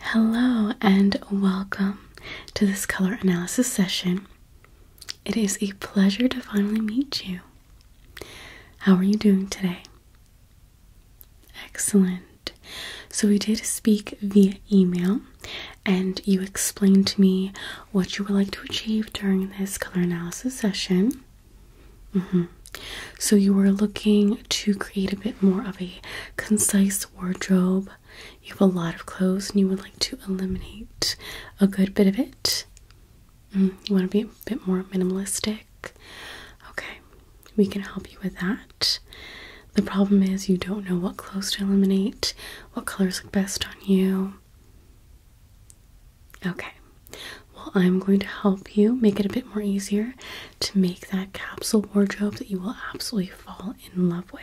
Hello and welcome to this color analysis session. It is a pleasure to finally meet you. How are you doing today? Excellent. So, we did speak via email, and you explained to me what you would like to achieve during this color analysis session. Mm-hmm. So, you were looking to create a bit more of a concise wardrobe, you have a lot of clothes and you would like to eliminate a good bit of it. Mm, you want to be a bit more minimalistic. Okay, we can help you with that. The problem is you don't know what clothes to eliminate, what colors look best on you. Okay, well, I'm going to help you make it a bit more easier to make that capsule wardrobe that you will absolutely fall in love with.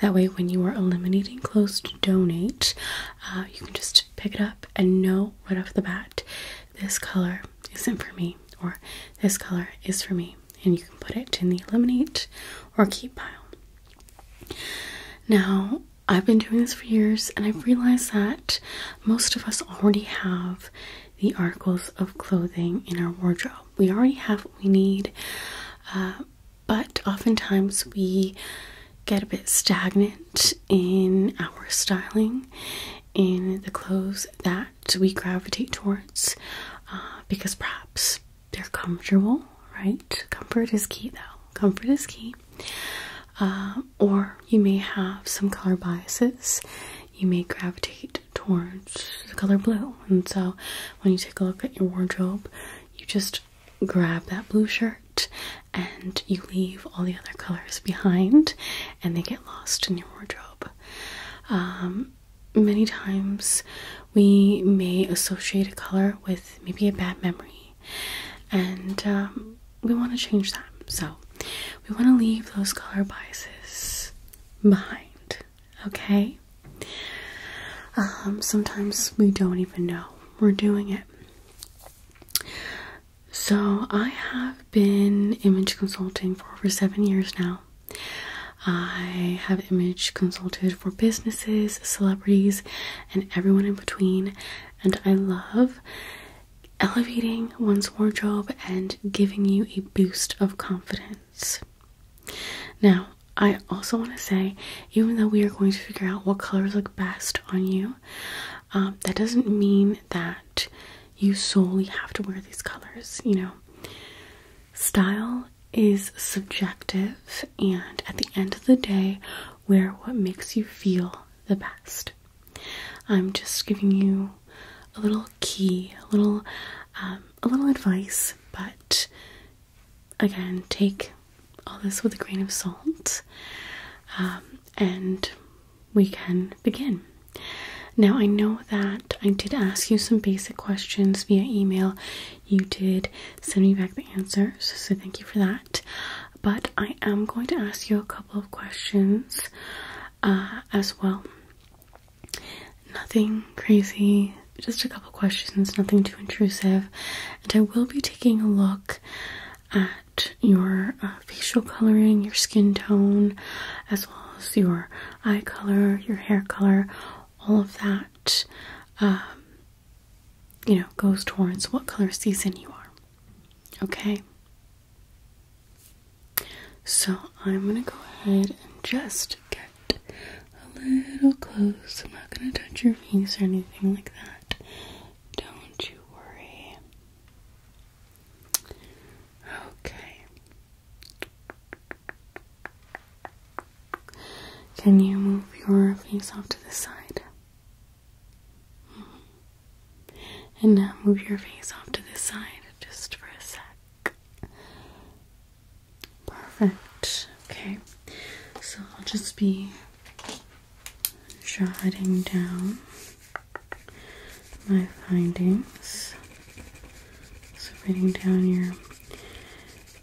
That way, when you are eliminating clothes to donate, uh, you can just pick it up and know right off the bat this color isn't for me, or this color is for me, and you can put it in the eliminate or keep pile. Now, I've been doing this for years, and I've realized that most of us already have the articles of clothing in our wardrobe we already have what we need, uh, but oftentimes we get a bit stagnant in our styling, in the clothes that we gravitate towards, uh, because perhaps they're comfortable, right? Comfort is key, though. Comfort is key. Uh, or you may have some color biases. You may gravitate towards the color blue. And so when you take a look at your wardrobe, you just grab that blue shirt and you leave all the other colors behind and they get lost in your wardrobe. Um, many times we may associate a color with maybe a bad memory and um, we want to change that. So we want to leave those color biases behind okay? Um, sometimes we don't even know we're doing it. So, I have been image consulting for over seven years now. I have image consulted for businesses, celebrities, and everyone in between, and I love elevating one's wardrobe and giving you a boost of confidence. Now, I also want to say, even though we are going to figure out what colors look best on you, um, that doesn't mean that you solely have to wear these colors. You know, style is subjective, and at the end of the day, wear what makes you feel the best. I'm just giving you a little key, a little, um, a little advice. But again, take all this with a grain of salt, um, and we can begin. Now, I know that I did ask you some basic questions via email. You did send me back the answers, so thank you for that. But I am going to ask you a couple of questions uh, as well. Nothing crazy, just a couple questions, nothing too intrusive. And I will be taking a look at your uh, facial coloring, your skin tone, as well as your eye color, your hair color, all of that, um, you know, goes towards what color season you are. Okay? So I'm gonna go ahead and just get a little close. I'm not gonna touch your face or anything like that. Don't you worry. Okay. Can you move your face off to the side? Hmm. And now move your face off to the side just for a sec. Perfect. Okay. So I'll just be writing down my findings. So writing down your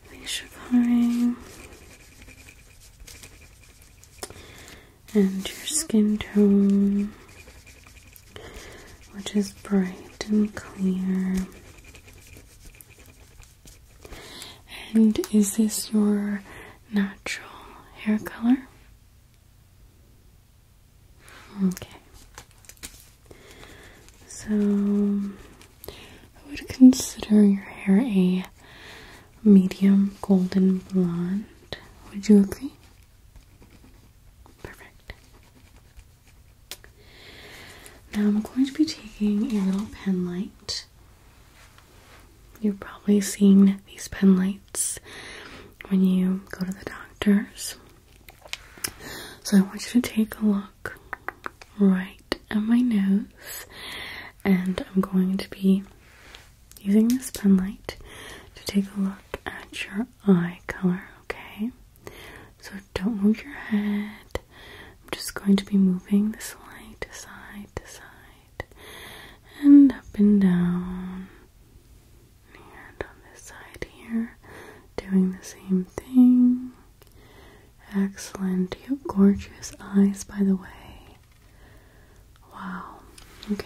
facial coloring and your skin tone which is bright and clear. And is this your natural hair color? Okay. So I would consider your hair a medium golden blonde. Would you agree? Perfect. Now I'm going to be taking a little pen light. You've probably seen these pen lights when you go to the doctor's. So I want you to take a look right at my nose, and I'm going to be using this pen light to take a look at your eye color, okay? So don't move your head. I'm just going to be moving this light side to side and up and down. And on this side here, doing the same thing. Excellent. You have gorgeous eyes, by the way. Wow. Okay.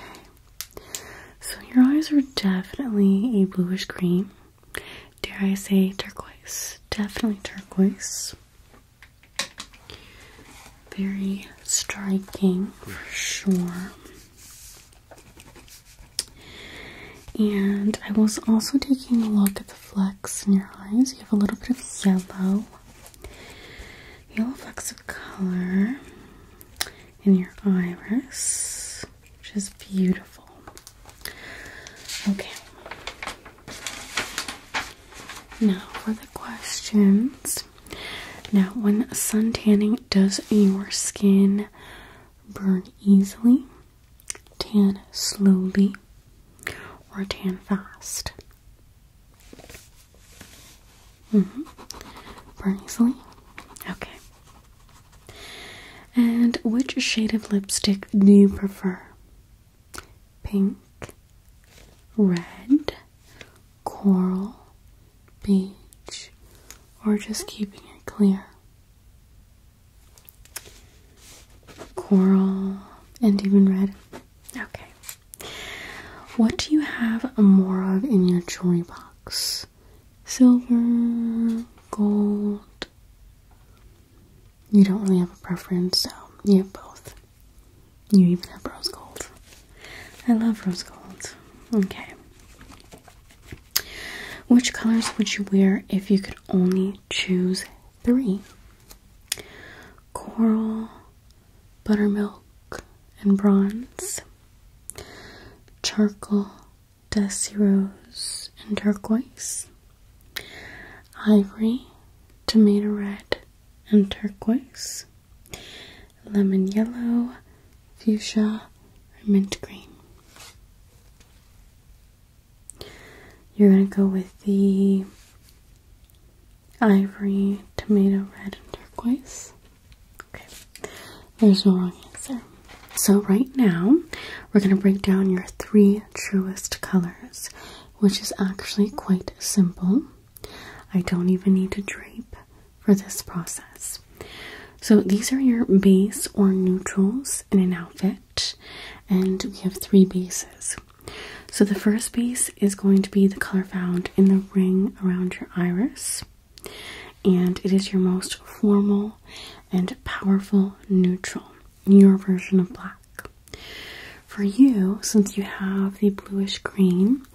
So your eyes are definitely a bluish green. Dare I say turquoise? Definitely turquoise. Very striking for sure. And I was also taking a look at the flecks in your eyes. You have a little bit of yellow, yellow flecks of color in your iris. Which is beautiful. Okay. Now for the questions. Now, when sun tanning, does your skin burn easily, tan slowly, or tan fast? hmm Burn easily? Okay. And which shade of lipstick do you prefer? Pink, red, coral, beige, or just keeping it clear? Coral and even red. Okay. What do you have more of in your jewelry box? silver, gold. You don't really have a preference, so you have both. You even have rose gold. I love rose gold. Okay. Which colors would you wear if you could only choose three? Coral, buttermilk, and bronze, charcoal, dusty rose and turquoise, ivory, tomato red and turquoise, lemon yellow, fuchsia, or mint green. You're going to go with the ivory, tomato red, and turquoise. Okay, there's no wrong answer. So, right now, we're going to break down your three truest colors, which is actually quite simple. I don't even need to drape for this process. So, these are your base or neutrals in an outfit, and we have three bases. So, the first base is going to be the color found in the ring around your iris, and it is your most formal and powerful neutral, your version of black. For you, since you have the bluish green,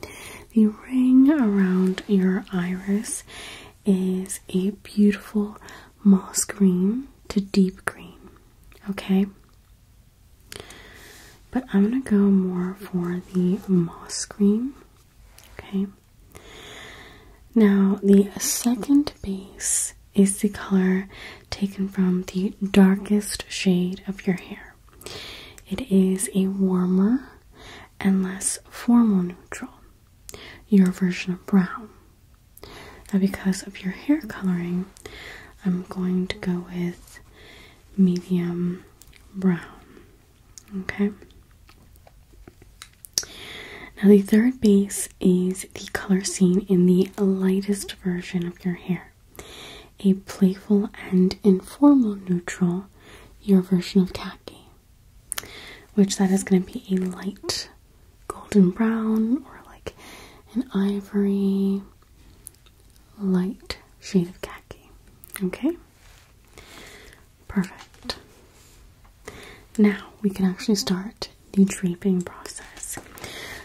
the ring around your iris is a beautiful moss green to deep green, okay? But I'm gonna go more for the moss green, okay? Now, the second base is the color taken from the darkest shade of your hair. It is a warmer and less formal neutral, your version of brown. Now, because of your hair coloring, I'm going to go with medium brown. Okay? Now, the third base is the color seen in the lightest version of your hair. A playful and informal neutral, your version of khaki, which that is going to be a light golden brown or like an ivory light shade of khaki. Okay? Perfect. Now we can actually start the draping process.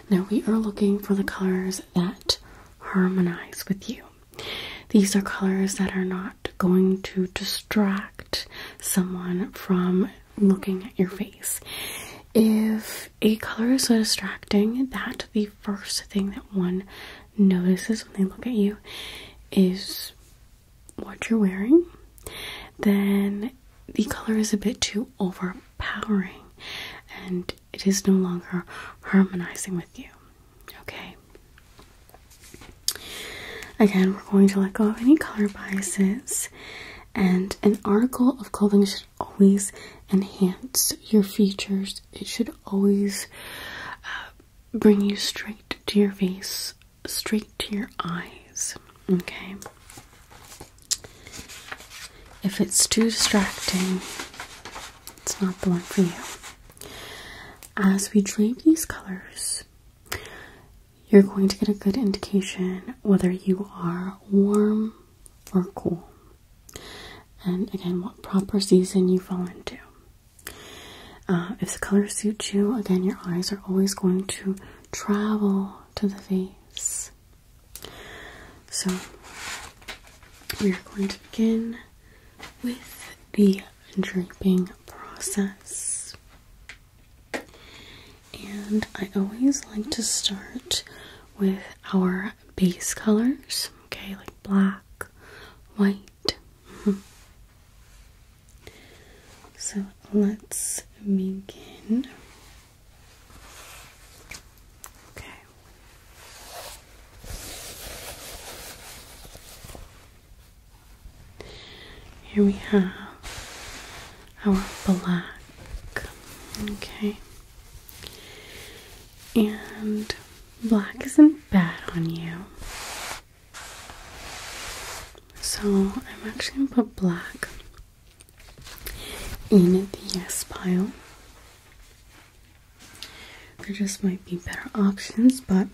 Now we are looking for the colors that harmonize with you. These are colors that are not going to distract someone from looking at your face. If a color is so distracting that the first thing that one notices when they look at you is what you're wearing, then the color is a bit too overpowering and it is no longer harmonizing with you. Okay. Again, we're going to let go of any color biases, and an article of clothing should always enhance your features. It should always uh, bring you straight to your face straight to your eyes. Okay. If it's too distracting, it's not the one for you. As we drape these colors, you're going to get a good indication whether you are warm or cool, and again, what proper season you fall into. Uh, if the color suits you, again, your eyes are always going to travel to the face. So, we are going to begin with the draping process. And I always like to start with our base colors, okay, like black, white. Mm-hmm. So let's begin. Okay. Here we have our black. Okay. And black isn't bad on you. So I'm actually gonna put black in the s pile. There just might be better options, but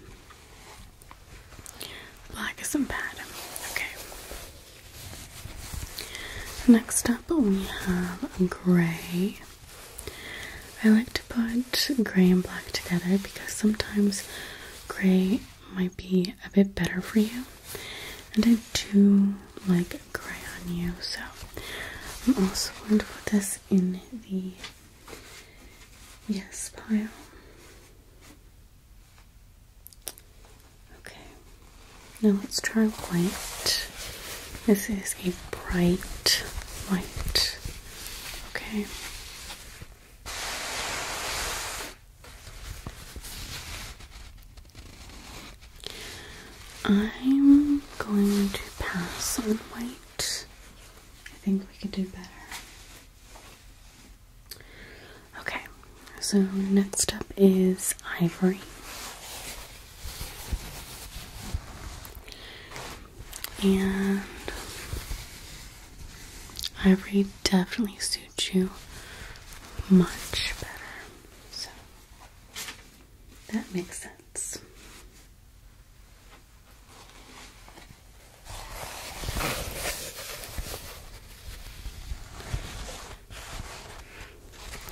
black isn't bad. Okay. Next up, we have gray. I like to put gray and black together because sometimes gray might be a bit better for you. And I do like gray on you, so I'm also going to put this in the yes pile. Okay, now let's try white. This is a bright white. Okay. I'm going to pass on white. I think we could do better. Okay, so next up is ivory. And ivory definitely suits you much better. So that makes sense.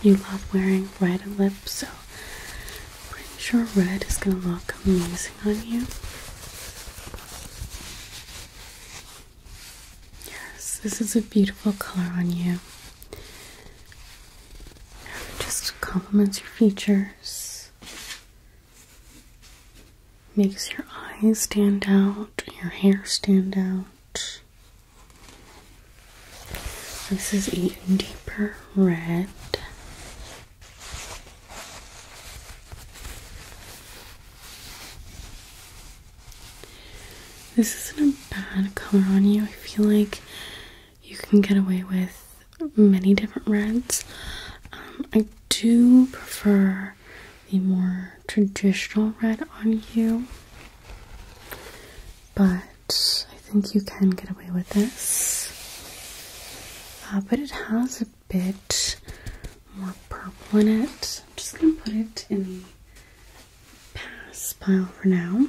You love wearing red lips, so I'm pretty sure red is gonna look amazing on you. Yes, this is a beautiful color on you. just complements your features, makes your eyes stand out, your hair stand out. This is even deeper red. This isn't a bad color on you. I feel like you can get away with many different reds. Um, I do prefer the more traditional red on you, but I think you can get away with this. Uh, but it has a bit more purple in it. I'm just going to put it in the pass pile for now.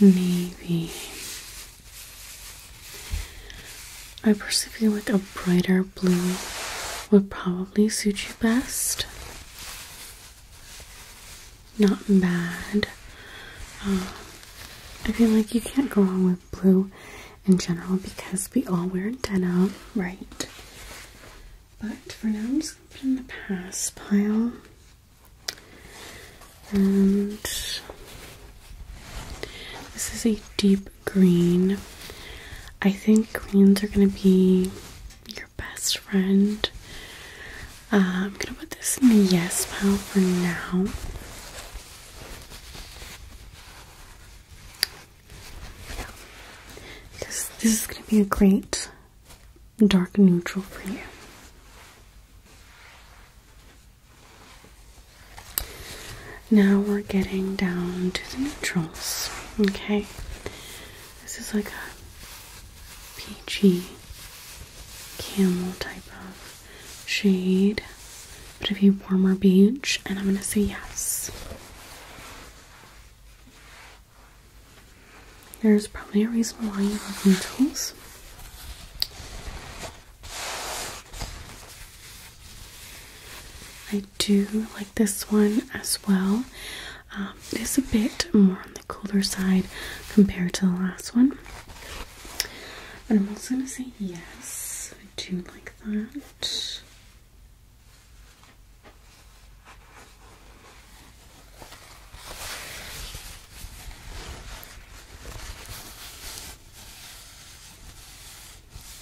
Maybe I perceive feel like a brighter blue would probably suit you best not bad. Um, I feel like you can't go wrong with blue in general because we all wear denim, right? But for now, I'm just going in the past pile. And this is a deep green. I think greens are gonna be your best friend I'm um, gonna put this in the yes pile for now. Yeah. This this is gonna be a great dark neutral for you. Now we're getting down to the neutrals. Okay. This is like a peachy camel type of shade, but a few warmer beige, and I'm gonna say yes. There's probably a reason why you love needles. I do like this one as well. Um, it's a bit more the cooler side compared to the last one. But I'm also going to say yes, I do like that.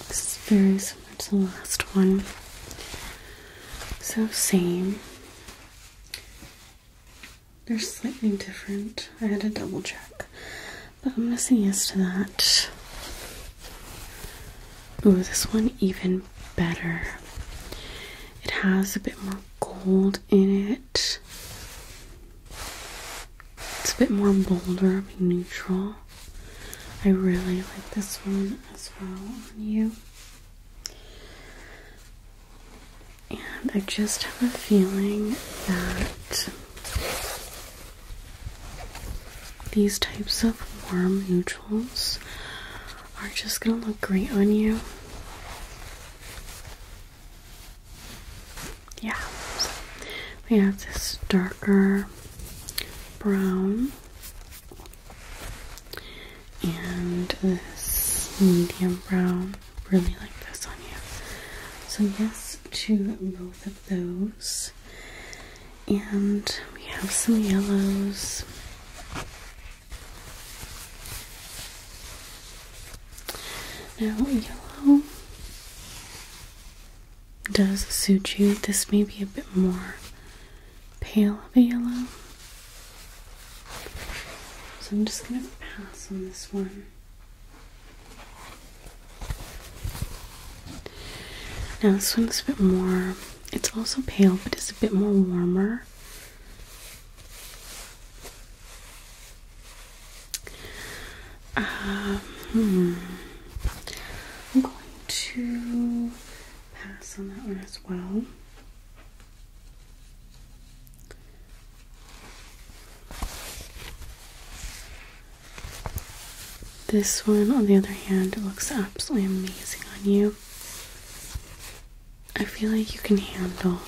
This is very similar to the last one. So, same. They're slightly different. I had to double check. But I'm going yes to that. Oh, this one even better. It has a bit more gold in it. It's a bit more bolder, neutral. I really like this one as well on you. And I just have a feeling that these types of warm neutrals are just going to look great on you. Yeah, so we have this darker brown and this medium brown really like this on you. So yes to both of those. And we have some yellows. Now yellow does suit you. This may be a bit more pale of a yellow. So I'm just going to pass on this one. Now this one's a bit more, it's also pale, but it's a bit more warmer. Um, hmm. I'm going to pass on that one as well. This one, on the other hand, looks absolutely amazing on you. I feel like you can handle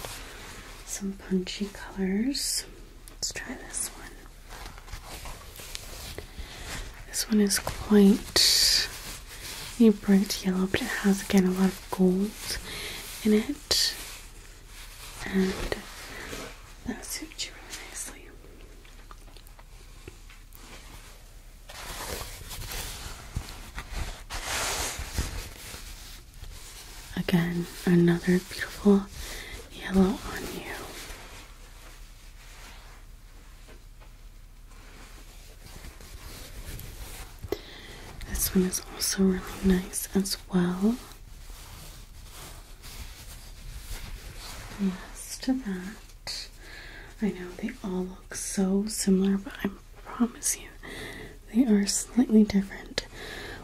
some punchy colors. Let's try this one. This one is quite a bright yellow, but it has again a lot of gold in it and that suits you really nicely. Again, another beautiful yellow on you. This one is also really nice as well. Yes, to that. I know they all look so similar, but I promise you they are slightly different.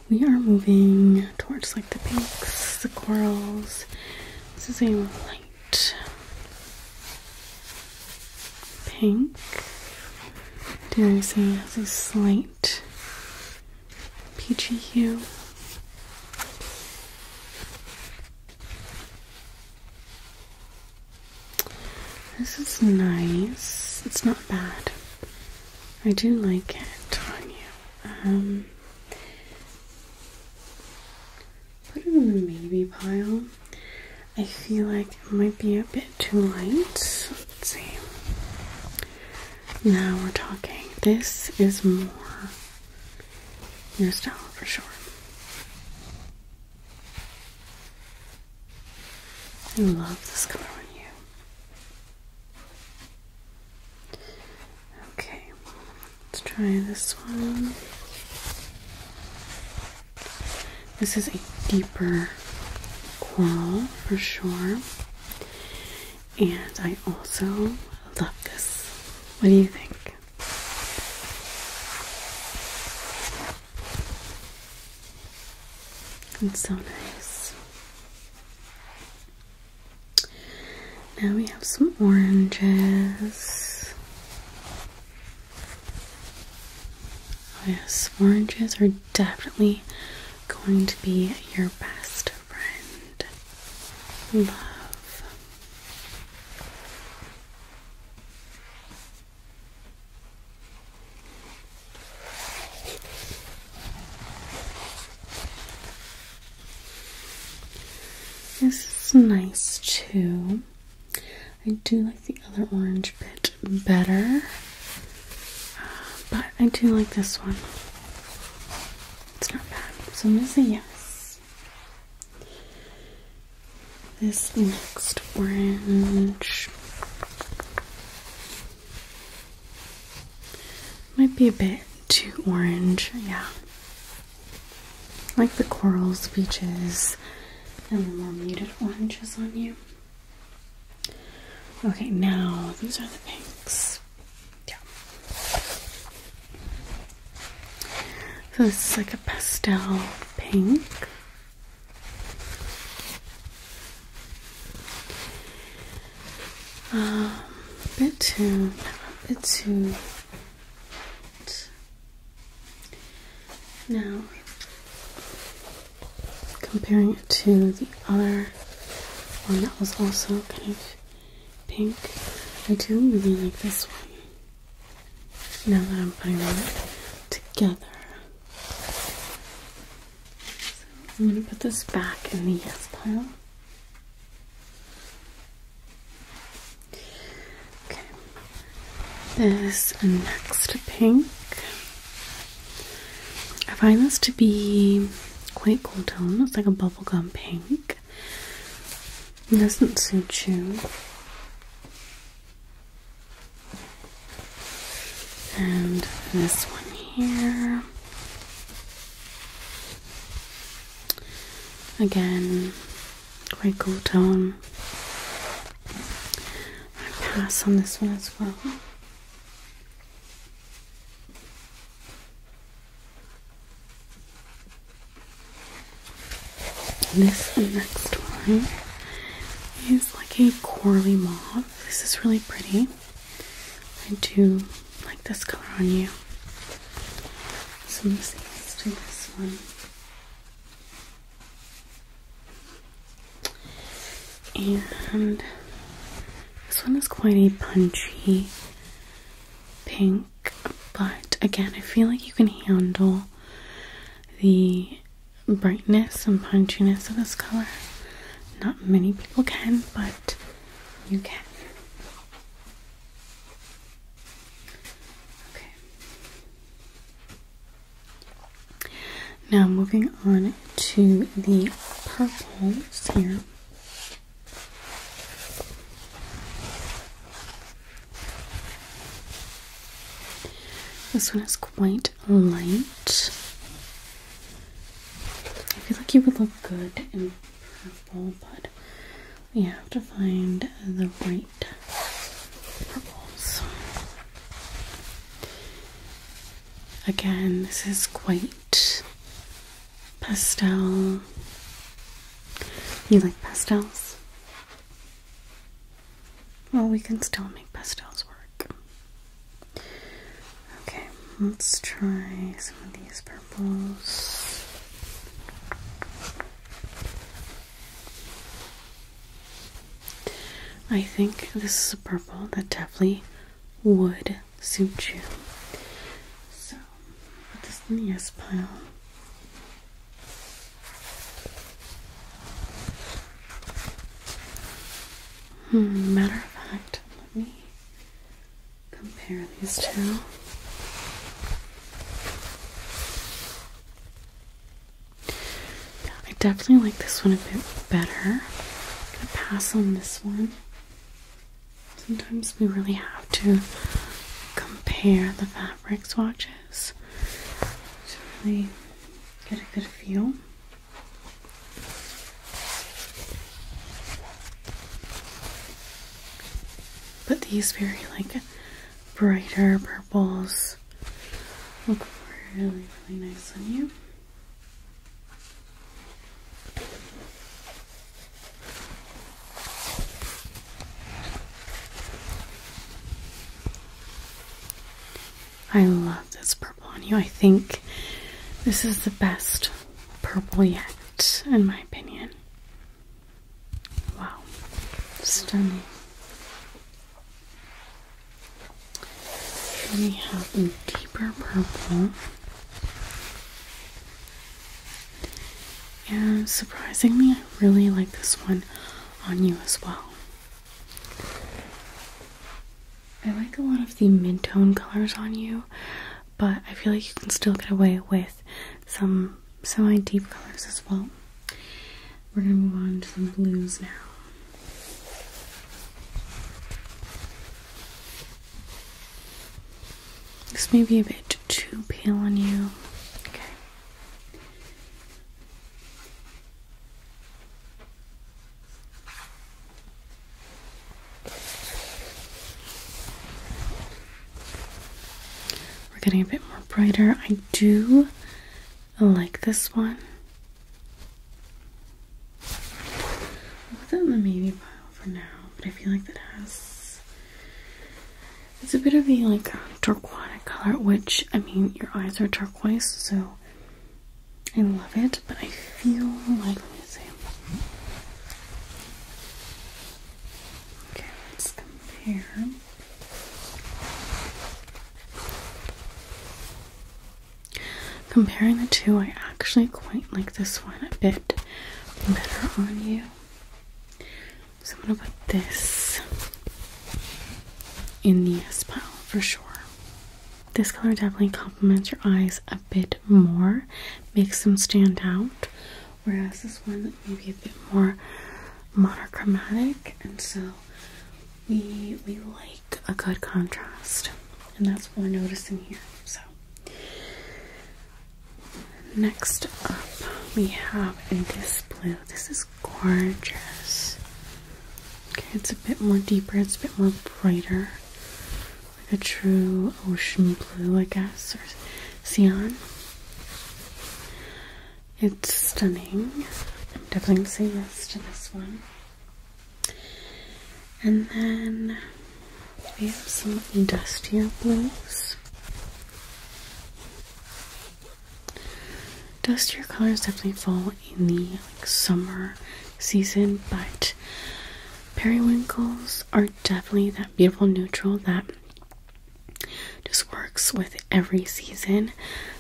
We are moving towards like the pinks, the corals. This is a light pink. Dare I say has a slight bright This is nice. It's not bad. I do like it on you. Um, put it in the maybe pile. I feel like it might be a bit too light. Let's see. Now we're talking. This is more your style for sure. I love this color on you. Okay, let's try this one. This is a deeper coral for sure. And I also love this. What do you think? It's so nice. Now we have some oranges. Oh yes, oranges are definitely going to be your best friend. Love. This is nice too. I do like the other orange bit better. But I do like this one. It's not bad. So I'm going to say yes. This next orange might be a bit too orange. Yeah. Like the corals, beaches, and the more muted oranges on you. Okay, now these are the pinks. So this is like a pastel pink. Um, bit too, bit too. Now, comparing it to the other one that was also kind of pink. I do really like this one. Now that I'm putting them together. I'm gonna put this back in the yes pile. Okay. This next pink I find this to be quite cool tone. It's like a bubblegum pink. doesn't suit you. And this one here. Again, quite cool tone. I pass on this one as well. This next one is like a corally mauve. This is really pretty. I do like this color on you. So let's do this one. And this one is quite a punchy pink, but again, I feel like you can handle the brightness and punchiness of this color. Not many people can, but you can. Okay. Now, moving on to the purples here. This one is quite light. I feel like you would look good in purple, but we have to find the right purples. Again, this is quite pastel. You like pastels? Well, we can still make pastels work. Okay, let's try some of these purples. I think this is a purple that definitely would suit you. So, this in pile. Hmm, matter of fact, let me compare these two. I definitely like this one a bit better. i pass on this one. Sometimes we really have to compare the fabric swatches to really get a good feel. But these very like brighter purples look really, really nice on you. I love this purple on you. I think this is the best purple yet, in my opinion. Wow, stunning. Then we have a deeper purple. And surprisingly, I really like this one on you as well. I like a lot of the mid tone colors on you, but I feel like you can still get away with some semi deep colors as well. We're gonna move on to the blues now. This may be a bit too pale on you. We're getting a bit more brighter. I do like this one. I'll put that in the maybe pile for now, but I feel like that has it's a bit of a like turquoise color, which I mean your eyes are turquoise, so I love it, but I feel like let Okay, let's compare. Comparing the two, I actually quite like this one a bit better on you. So I'm gonna put this in the S pile for sure. This color definitely complements your eyes a bit more, makes them stand out, whereas this one may be a bit more monochromatic, and so we we like a good contrast, and that's what we're noticing here. So, next up, we have a this blue. This is gorgeous. Okay, it's a bit more deeper, it's a bit more brighter, like a true ocean blue, I guess, or sian. It's stunning. I'm definitely gonna say yes to this one. And then we have some dustier blues. Dustier colors definitely fall in the summer season, but periwinkles are definitely that beautiful neutral that just works with every season.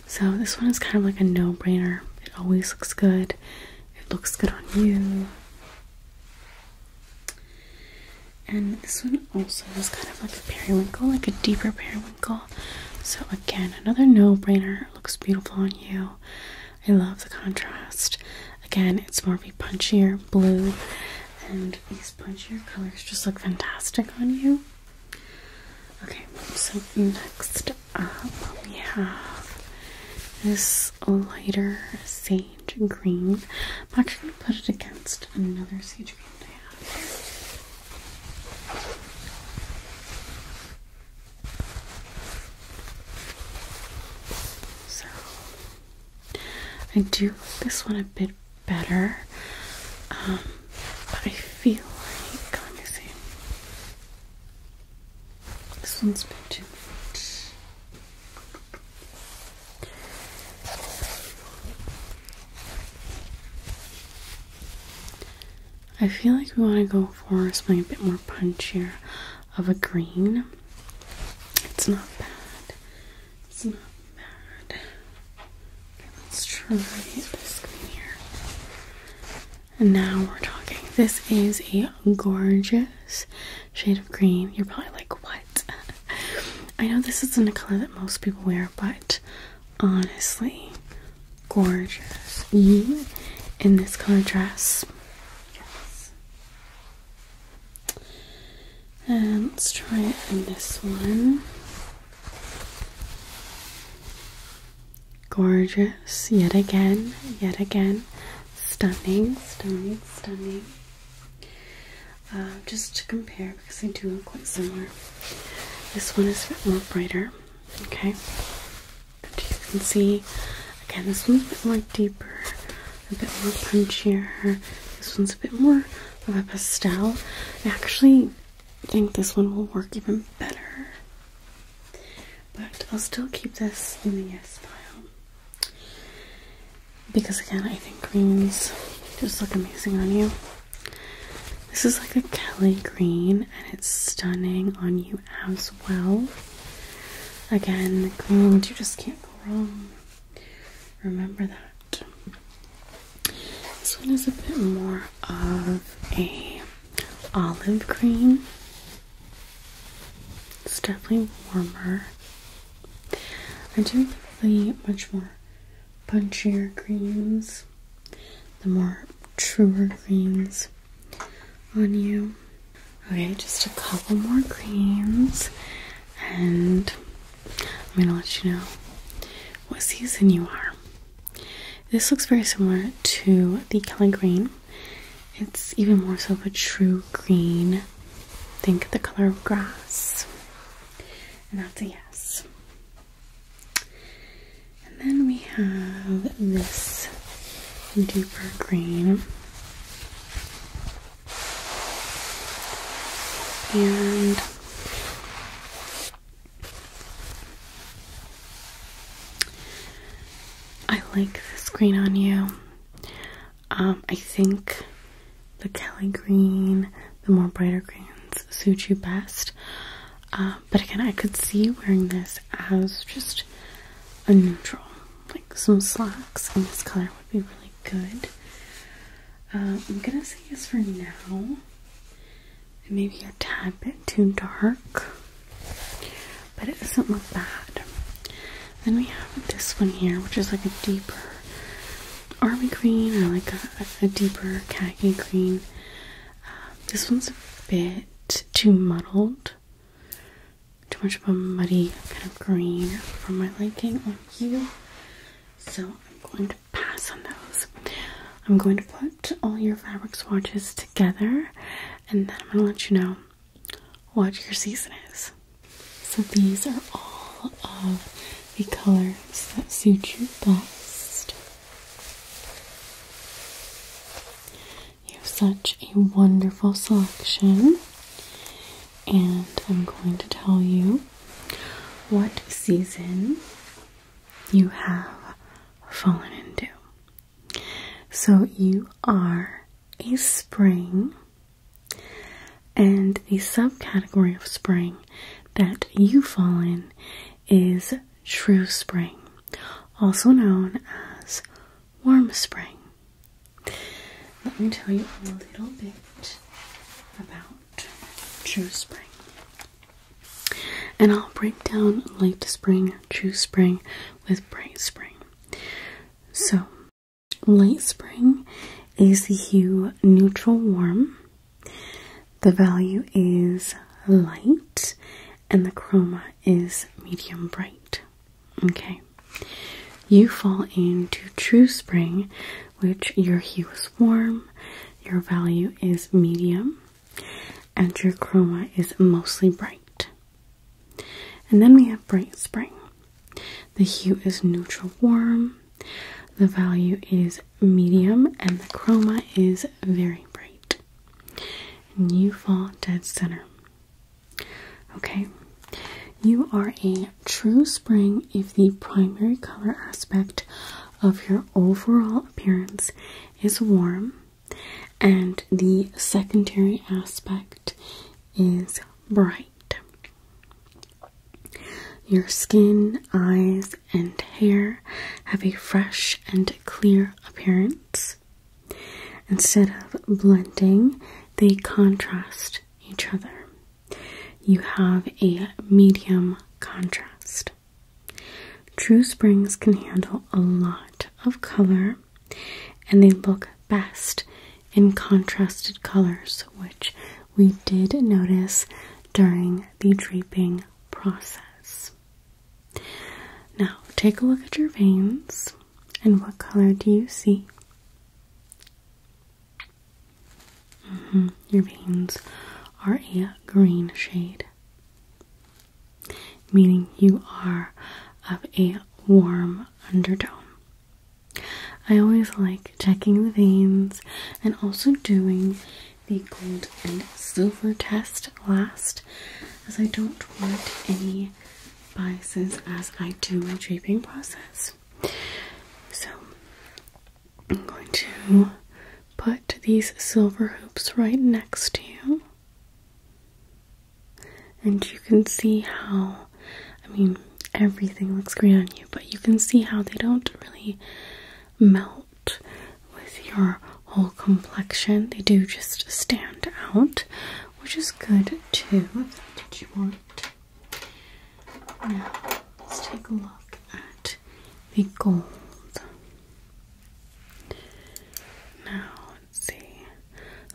So this one is kind of like a no-brainer. It always looks good it looks good on you. And this one also is kind of like a periwinkle, like a deeper periwinkle. So, again, another no brainer. looks beautiful on you. I love the contrast. Again, it's more of a punchier blue, and these punchier colors just look fantastic on you. Okay, so next up, we have this lighter sage green. I'm actually going to put it against another sage green I have So, I do like this one a bit better, um, but I feel like, let me see. This one's been too much. I feel like we want to go for something a bit more punchier of a green. It's not bad. It's not bad. Okay, let's try this green here. And now we're talking. This is a gorgeous shade of green. You're probably like, what? I know this isn't a color that most people wear, but honestly, gorgeous. in this color dress. And let's try it in this one. Gorgeous, yet again, yet again. Stunning, stunning, stunning. Um, just to compare, because they do look quite similar. This one is a bit more brighter, okay? But you can see, again, this one's a bit more deeper, a bit more punchier. This one's a bit more of a pastel. I actually think this one will work even better but I'll still keep this in the yes pile. Because again, I think greens just look amazing on you. This is like a Kelly green and it's stunning on you as well. Again, greens, you just can't go wrong. Remember that. This one is a bit more of a olive green. It's definitely warmer. I do like the much more punchier greens, the more truer greens on you. Okay, just a couple more greens, and I'm gonna let you know what season you are. This looks very similar to the Kelly Green it's even more so of a true green. Think the color of grass. And that's a yes. And then we have this deeper green. And I like this green on you. Um, I think the Kelly green, the more brighter greens suit you best. Uh, but again, I could see wearing this as just a neutral, like some slacks, in this color would be really good. Um, I'm gonna say yes for now. Maybe a tad bit too dark but it doesn't look bad. Then we have this one here, which is like a deeper army green or like a, deeper khaki green. Um, this one's a bit too muddled, too much of a muddy kind of green for my liking on you. So I'm going to pass on those. I'm going to put all your fabric swatches together and then I'm going to let you know what your season is. So these are all of the colors that suit you best. You have such a wonderful selection, and I'm going to tell you what season you have fallen into. So you are a spring and the subcategory of spring that you fall in is true spring, also known as warm spring. Let me tell you a little bit about true spring. And I'll break down late spring, true spring with bright spring. So, light spring is the hue neutral warm. The value is light and the chroma is medium bright. Okay. You fall into true spring, which your hue is warm, your value is medium, and your chroma is mostly bright. And then we have Bright Spring. The hue is neutral warm, the value is medium, and the chroma is very bright. And you fall dead center. Okay, you are a true spring if the primary color aspect of your overall appearance is warm and the secondary aspect is bright. Your skin, eyes, and hair have a fresh and clear appearance. Instead of blending, they contrast each other. You have a medium contrast. True Springs can handle a lot of color and they look best in contrasted colors, which we did notice during the draping process. Now, take a look at your veins, and what color do you see? Mm-hmm, your veins are a green shade, meaning you are of a warm undertone. I always like checking the veins and also doing the gold and silver test last as I don't want any biases as I do my draping process. So I'm going to put these silver hoops right next to you and you can see how I mean everything looks great on you, but you can see how they don't really melt with your whole complexion. They do just stand out, which is good too. Now let's take a look at the gold. Now see.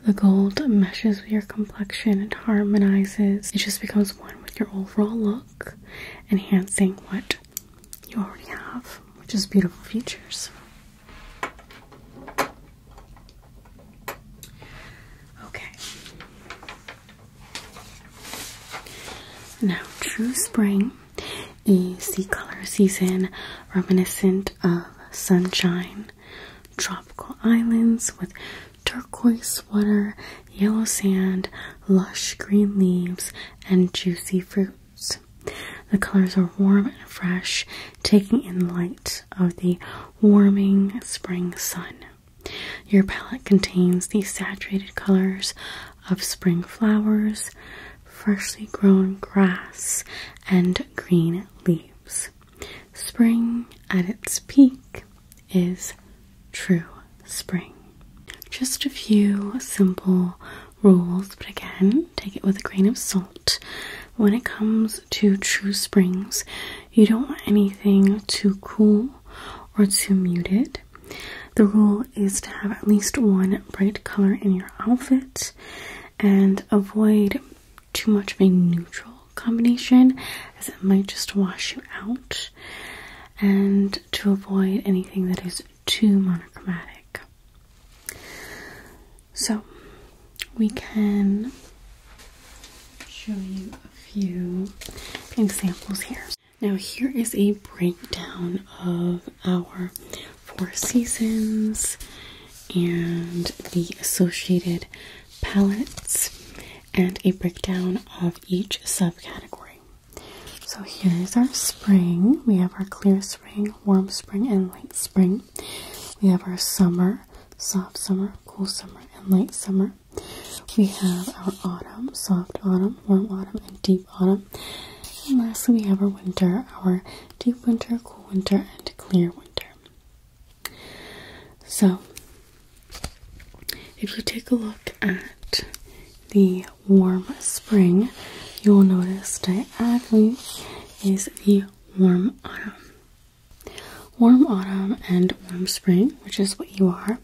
The gold meshes with your complexion, it harmonizes, it just becomes one with your overall look, enhancing what you already have, which is beautiful features. Okay. Now, True Spring, a sea color season reminiscent of sunshine, tropical islands with turquoise water, yellow sand, lush green leaves, and juicy fruits. The colors are warm and fresh, taking in light of the warming spring sun. Your palette contains the saturated colors of spring flowers, freshly grown grass, and green leaves. Spring at its peak is true spring. Just a few simple rules, but again, take it with a grain of salt. When it comes to true springs, you don't want anything too cool or too muted. The rule is to have at least one bright color in your outfit and avoid too much of a neutral combination as it might just wash you out and to avoid anything that is too monochromatic. So we can show you a few examples here. Now here is a breakdown of our four seasons and the associated palettes and a breakdown of each subcategory. So here is our spring. We have our clear spring, warm spring, and late spring. We have our summer, soft summer, cool summer, and late summer. We have our autumn, soft autumn, warm autumn, and deep autumn. And lastly, we have our winter, our deep winter, cool winter, and clear winter. So, if you take a look at the warm spring, you will notice diagonally is the warm autumn. Warm autumn and warm spring, which is what you are,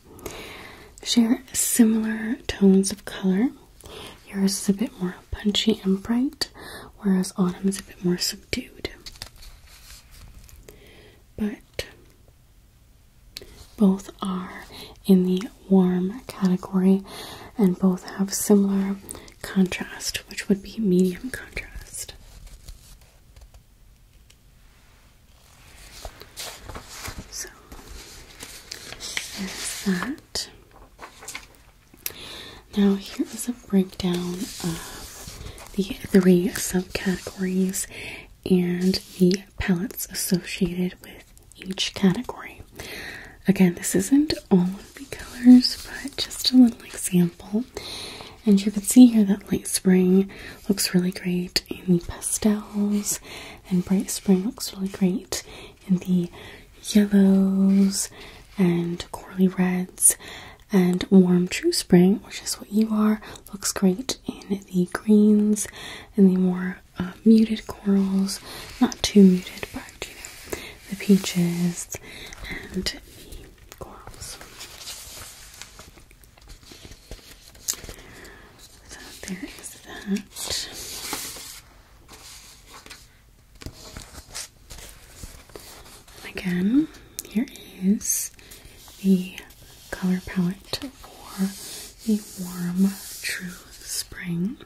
share similar tones of color. Yours is a bit more punchy and bright, whereas autumn is a bit more subdued but both are in the warm category and both have similar contrast, which would be medium contrast. So, there's that. Now, here is a breakdown of the three subcategories and the palettes associated with each category. Again, this isn't all of the colors, but just a little example. And you can see here that light spring looks really great in the pastels, and bright spring looks really great in the yellows and corally reds, and warm true spring, which is what you are, looks great in the greens and the more uh, muted corals, not too muted, but the peaches and the corals. So there is that. And again, here is the color palette for the warm true spring.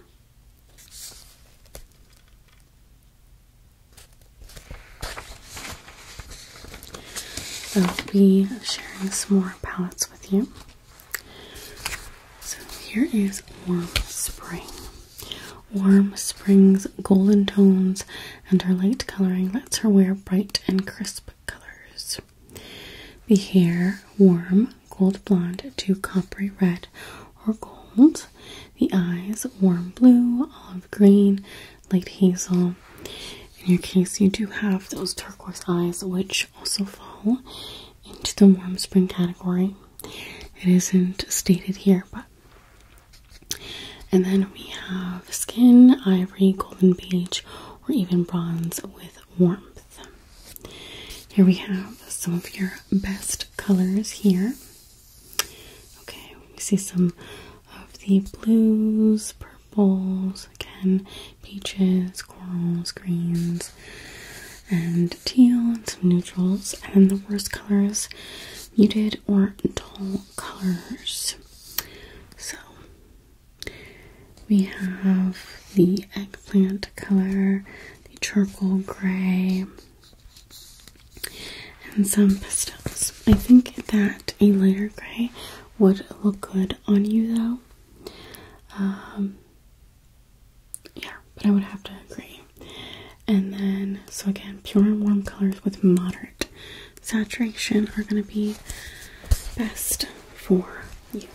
I'll be sharing some more palettes with you. So here is Warm Spring warm spring's golden tones, and her light coloring lets her wear bright and crisp colors. The hair, warm gold blonde to coppery red or gold. The eyes, warm blue, olive green, light hazel. In your case, you do have those turquoise eyes, which also fall into the warm spring category. It isn't stated here, but and then we have skin, ivory, golden beige, or even bronze with warmth. Here we have some of your best colors here. Okay, we see some of the blues, purples, again, peaches, corals, greens, and teal, and some neutrals. And then the worst colors muted or dull colors. So we have the eggplant color, the charcoal gray, and some pistils. I think that a lighter gray would look good on you though. Um, yeah, but I would have to agree. And then, so again, pure and warm colors with moderate saturation are going to be best for you.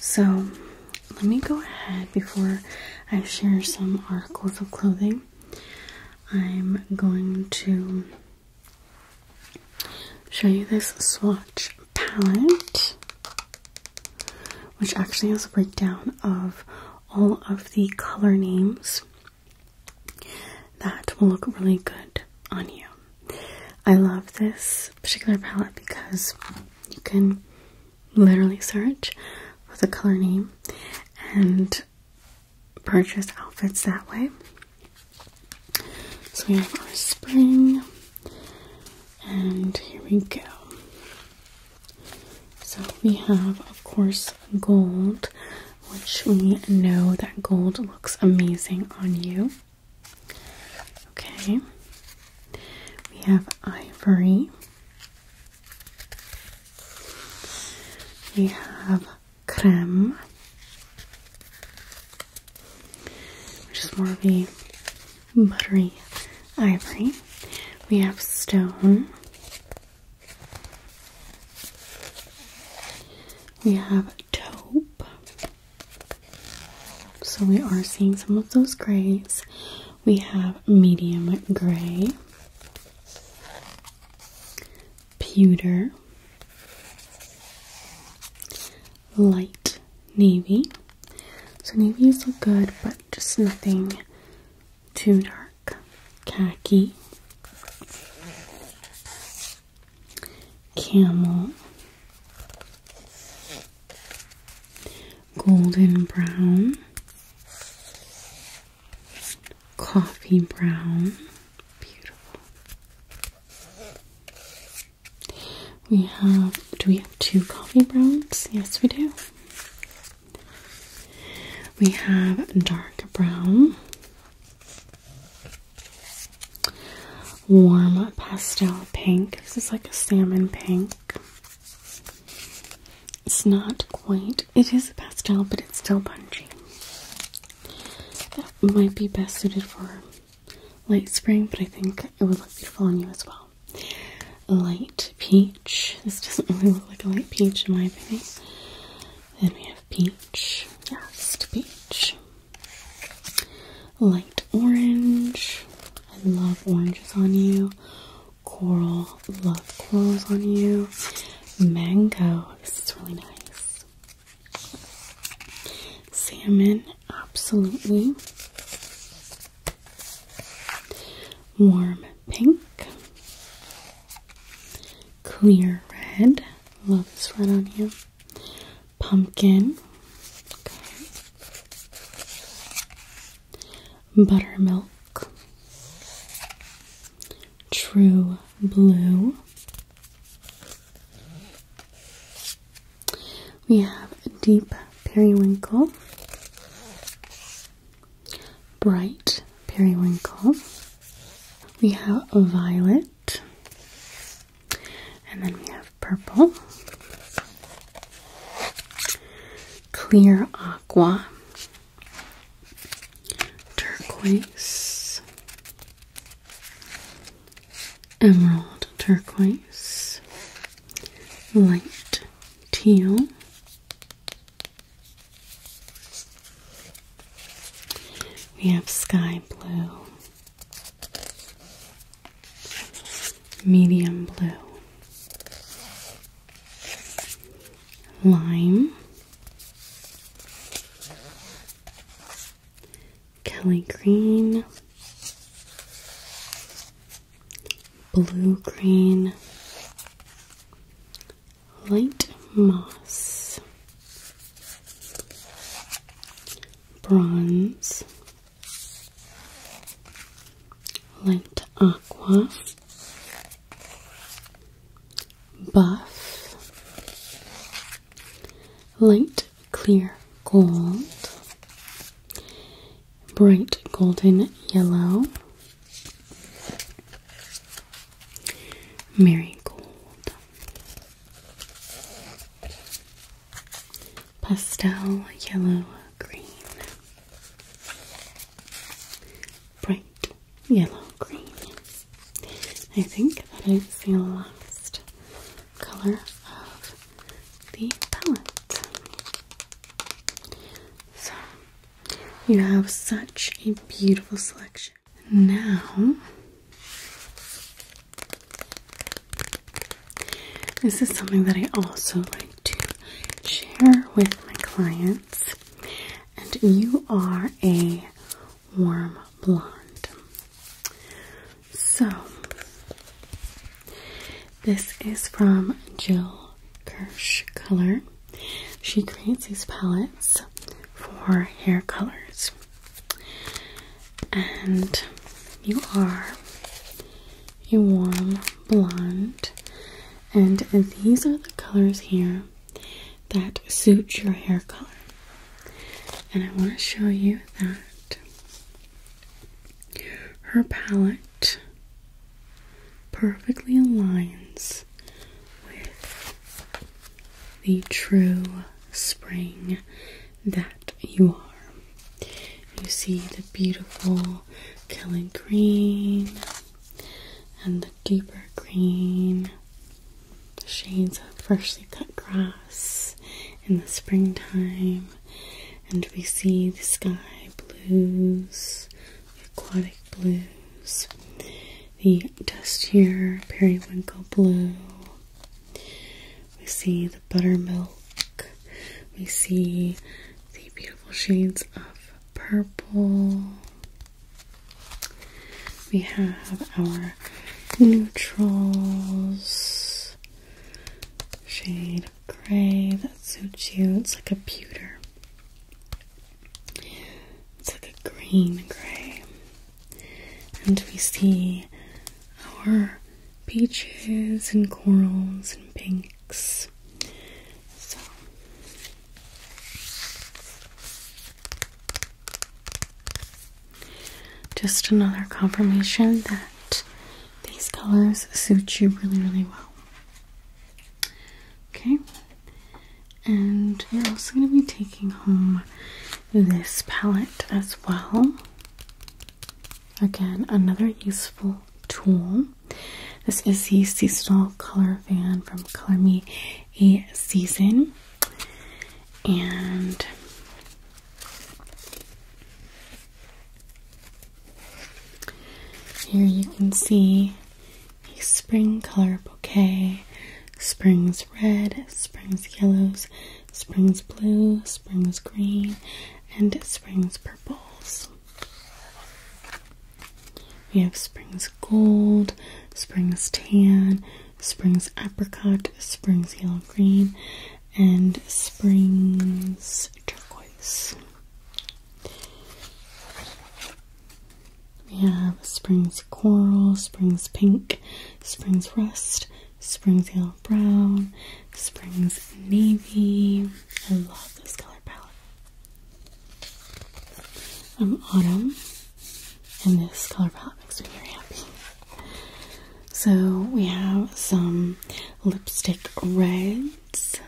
So, let me go ahead before I share some articles of clothing. I'm going to show you this swatch palette which actually has a breakdown of all of the color names that will look really good on you. I love this particular palette because you can literally search with a color name and purchase outfits that way. So we have our spring, and here we go. So we have, of course, gold, which we know that gold looks amazing on you. Okay, we have ivory, we have creme which is more of a buttery ivory. We have stone. We have taupe. So we are seeing some of those grays. We have medium gray, pewter, light navy. So navies look good, but just nothing too dark. Khaki, camel, golden brown, coffee brown, beautiful. We have, do we have two coffee browns? Yes, we do. We have dark brown, warm pastel pink. This is like a salmon pink. It's not quite, it is a pastel, but it's still punchy. That might be best suited for light spring, but I think it would look beautiful on you as well. Light peach. This doesn't really look like a light peach in my opinion. Then we have peach. Yes, peach. Light orange. I love oranges on you. Coral. Love corals on you. Mango. This is really nice. Salmon, absolutely. Warm pink. Clear red. Love this red on you. Pumpkin. Buttermilk. True blue. We have deep periwinkle, bright periwinkle. We have violet, and then we have purple, clear aqua, turquoise, emerald turquoise, light teal, we have sky blue, medium blue. Lime, Kelly green, blue green, light moss, bronze, light aqua, buff, light clear gold, bright golden yellow, marigold, pastel yellow green, bright yellow green. I think that is the last color of the palette. So, you have such a beautiful selection. Now, this is something that I also like to share with my clients, and you are a warm blonde. So, this is from Jill Kirsch Color. She creates these palettes for hair colors. And you are a warm blonde. And these are the colors here that suit your hair color. And I want to show you that. Her palette perfectly aligns with the true spring that you are. You see the beautiful killing green and the deeper green, the shades of freshly cut grass in the springtime and we see the sky blues, the aquatic blues, the dustier periwinkle blue. We see the buttermilk. We see the beautiful shades of purple. We have our neutrals shade of gray that suits you. It's like a pewter. It's like a green gray. And we see our peaches and corals and pinks. So just another confirmation that these colors suit you really, really well. Okay, and you're also going to be taking home this palette as well. Again, another useful tool. This is the seasonal color fan from Color Me a Season, and here you can see a spring color bouquet. Spring's red, spring's yellows, spring's blue, spring's green, and spring's purples. We have spring's gold, spring's tan, spring's apricot, spring's yellow green, and Springs turquoise. We have Springs coral, Springs pink, Springs rust, Springs yellow brown, Springs navy. I love this color palette. I'm autumn, and this color palette makes me very happy. So we have some lipstick reds.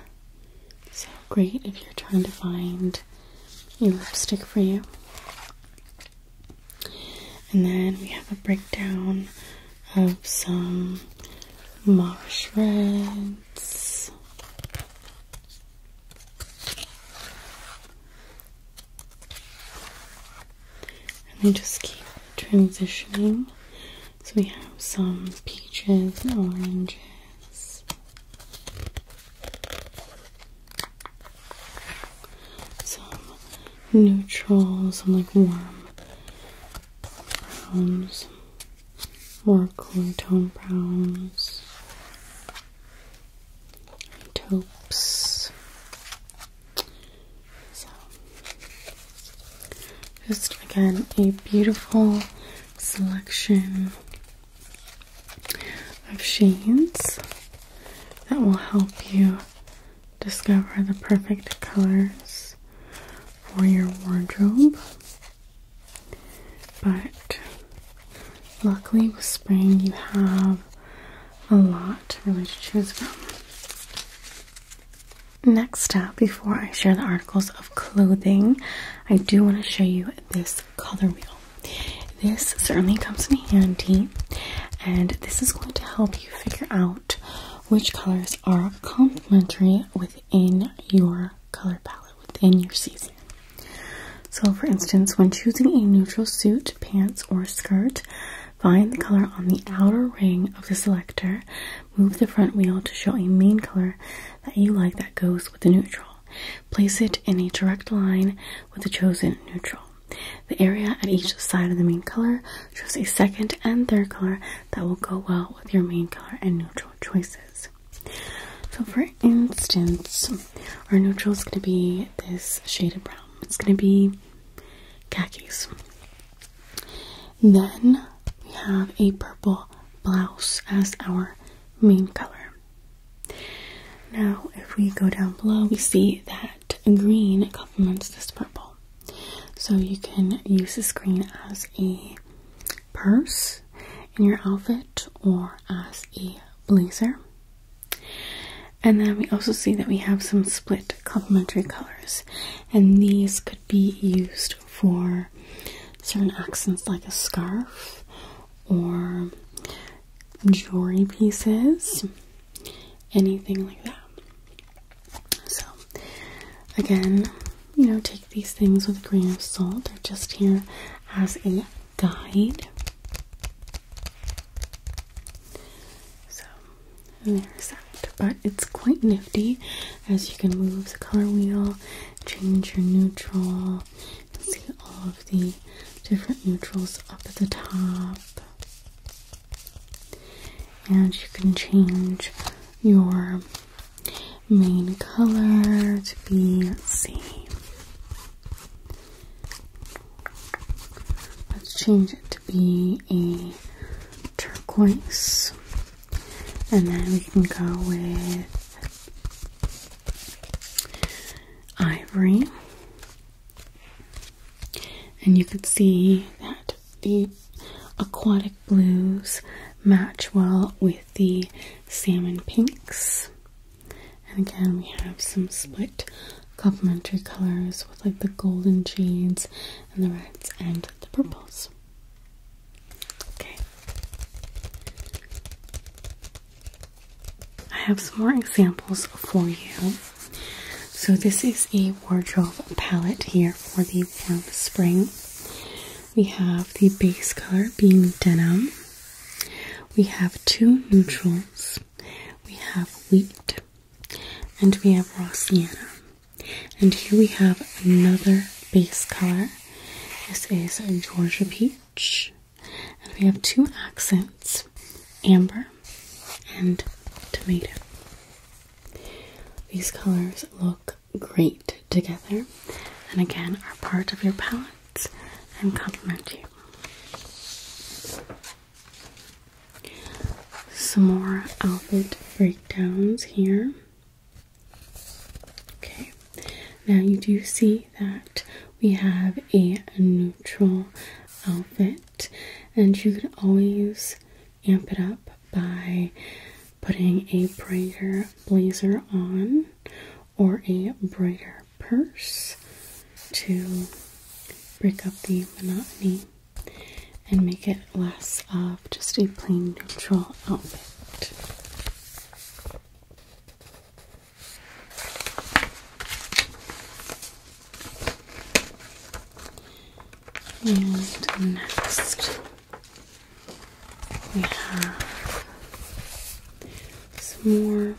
So great if you're trying to find a lipstick for you. And then we have a breakdown of some marsh reds and they just keep transitioning. So we have some peaches and oranges. Some neutrals, some like warm browns, more cooler tone browns, and taupes, so, just again, a beautiful selection of shades that will help you discover the perfect colors for your wardrobe. But luckily, with spring, you have a lot really to choose from. Next up, before I share the articles of clothing, I do want to show you this color wheel. This certainly comes in handy, and this is going to help you figure out which colors are complementary within your color palette, within your season. So, for instance, when choosing a neutral suit, pants, or skirt, Find the color on the outer ring of the selector. Move the front wheel to show a main color that you like that goes with the neutral. Place it in a direct line with the chosen neutral. The area at each side of the main color shows a second and third color that will go well with your main color and neutral choices. So, for instance, our neutral is going to be this shaded brown. It's going to be khakis. Then we have a purple blouse as our main color. Now, if we go down below, we see that green complements this purple. So you can use the green as a purse in your outfit or as a blazer. And then we also see that we have some split complementary colors, and these could be used for certain accents like a scarf or jewelry pieces, anything like that. So, again, you know, take these things with a grain of salt, they're just here as a guide. So, and there's that. But it's quite nifty as you can move the color wheel, change your neutral, see all of the different neutrals up at the top. And you can change your main color to be, let let's change it to be a turquoise. And then we can go with ivory. And you can see that the aquatic blues match well with the salmon pinks. And again, we have some split complementary colors with like the golden shades and the reds and the purples. Okay. I have some more examples for you. So, this is a wardrobe palette here for the warm spring. We have the base color being denim. We have two neutrals. We have wheat. And we have raw And here we have another base color. This is a Georgia peach. And we have two accents amber and tomato. These colors look great together and again are part of your palette and complement you. Some more outfit breakdowns here. Okay, now you do see that we have a neutral outfit, and you can always amp it up by putting a brighter blazer on or a brighter purse to break up the monotony and make it less of just a plain neutral outfit. And next, we have some more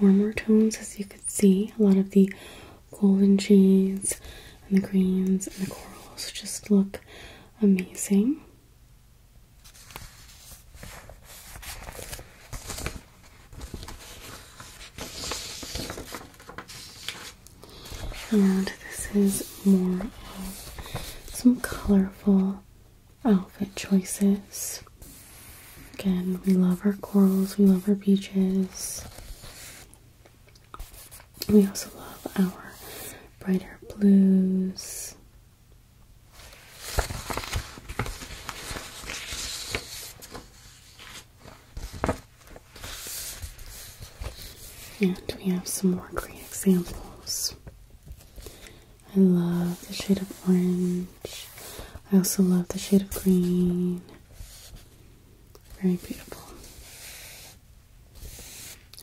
warmer tones, as you can see. A lot of the golden cheese and the greens and the corals just look amazing. And this is more of some colorful outfit choices. Again, we love our corals, we love our beaches. We also love our brighter blues. And we have some more great examples. I love the shade of orange. I also love the shade of green. Very beautiful.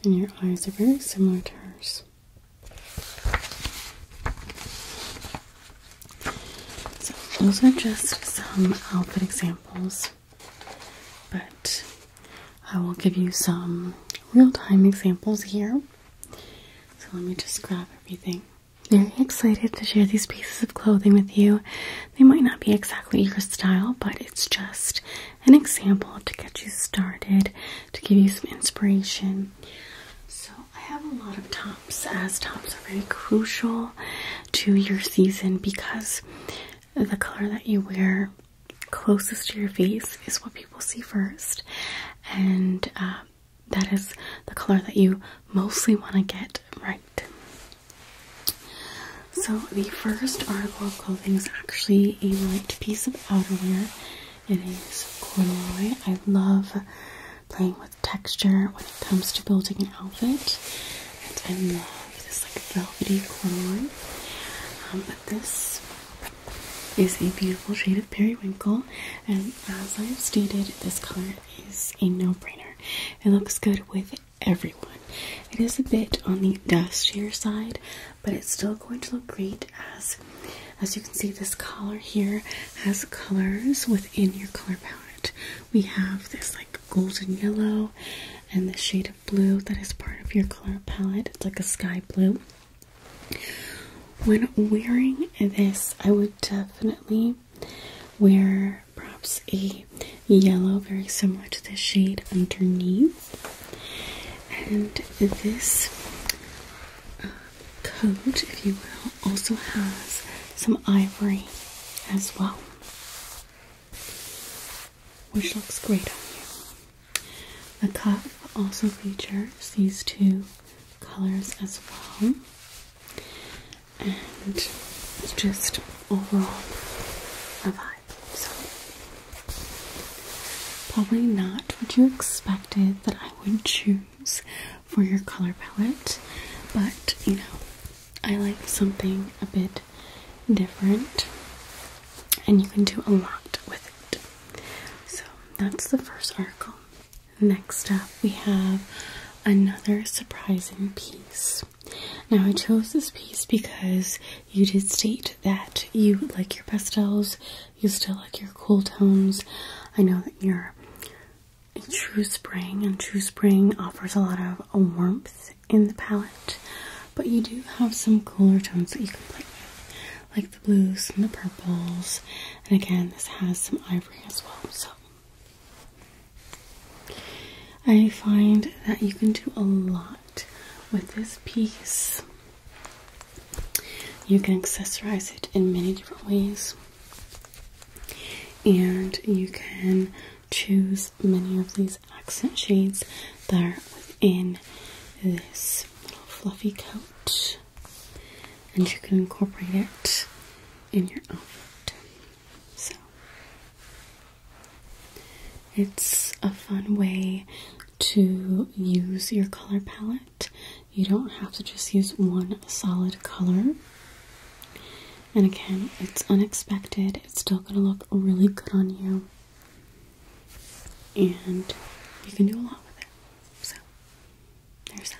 And your eyes are very similar to hers. So, those are just some outfit examples, but I will give you some real time examples here. So, let me just grab everything. Very excited to share these pieces of clothing with you. They might not be exactly your style, but it's just an example to get you started, to give you some inspiration. So, I have a lot of tops, as tops are very crucial to your season because the color that you wear closest to your face is what people see first, and uh, that is the color that you mostly want to get right. So the first article of clothing is actually a light piece of outerwear. It is corduroy. I love playing with texture when it comes to building an outfit. And I love this like velvety corduroy. Um, but this is a beautiful shade of periwinkle. And as I've stated, this color is a no-brainer. It looks good with everyone. It is a bit on the dustier side, but it's still going to look great as as you can see this collar here has colors within your color palette. We have this like golden yellow and the shade of blue that is part of your color palette. It's like a sky blue. When wearing this, I would definitely wear perhaps a yellow, very similar to the shade underneath. And this uh, coat, if you will, also has some ivory as well, which looks great on you. The cuff also features these two colors as well. And it's just overall a vibe. So, probably not what you expected that I would choose for your color palette, but you know, I like something a bit different, and you can do a lot with it. So, that's the first article. Next up, we have another surprising piece now, I chose this piece because you did state that you like your pastels, you still like your cool tones. I know that you're in True Spring, and True Spring offers a lot of warmth in the palette, but you do have some cooler tones that you can play with, like the blues and the purples. And again, this has some ivory as well, so. I find that you can do a lot with this piece. You can accessorize it in many different ways, and you can choose many of these accent shades that are within this fluffy coat, and you can incorporate it in your outfit. So, it's a fun way to use your color palette. You don't have to just use one solid color. And again, it's unexpected. It's still going to look really good on you. And you can do a lot with it. So, there's that.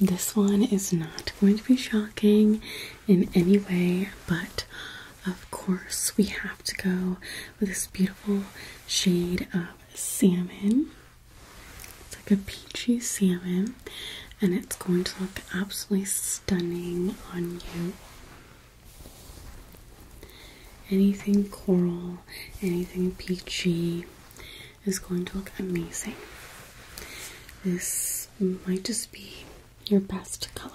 This one is not going to be shocking in any way, but of course, we have to go with this beautiful shade of salmon. It's like a peachy salmon, and it's going to look absolutely stunning on you. Anything coral, anything peachy is going to look amazing. This might just be your best color.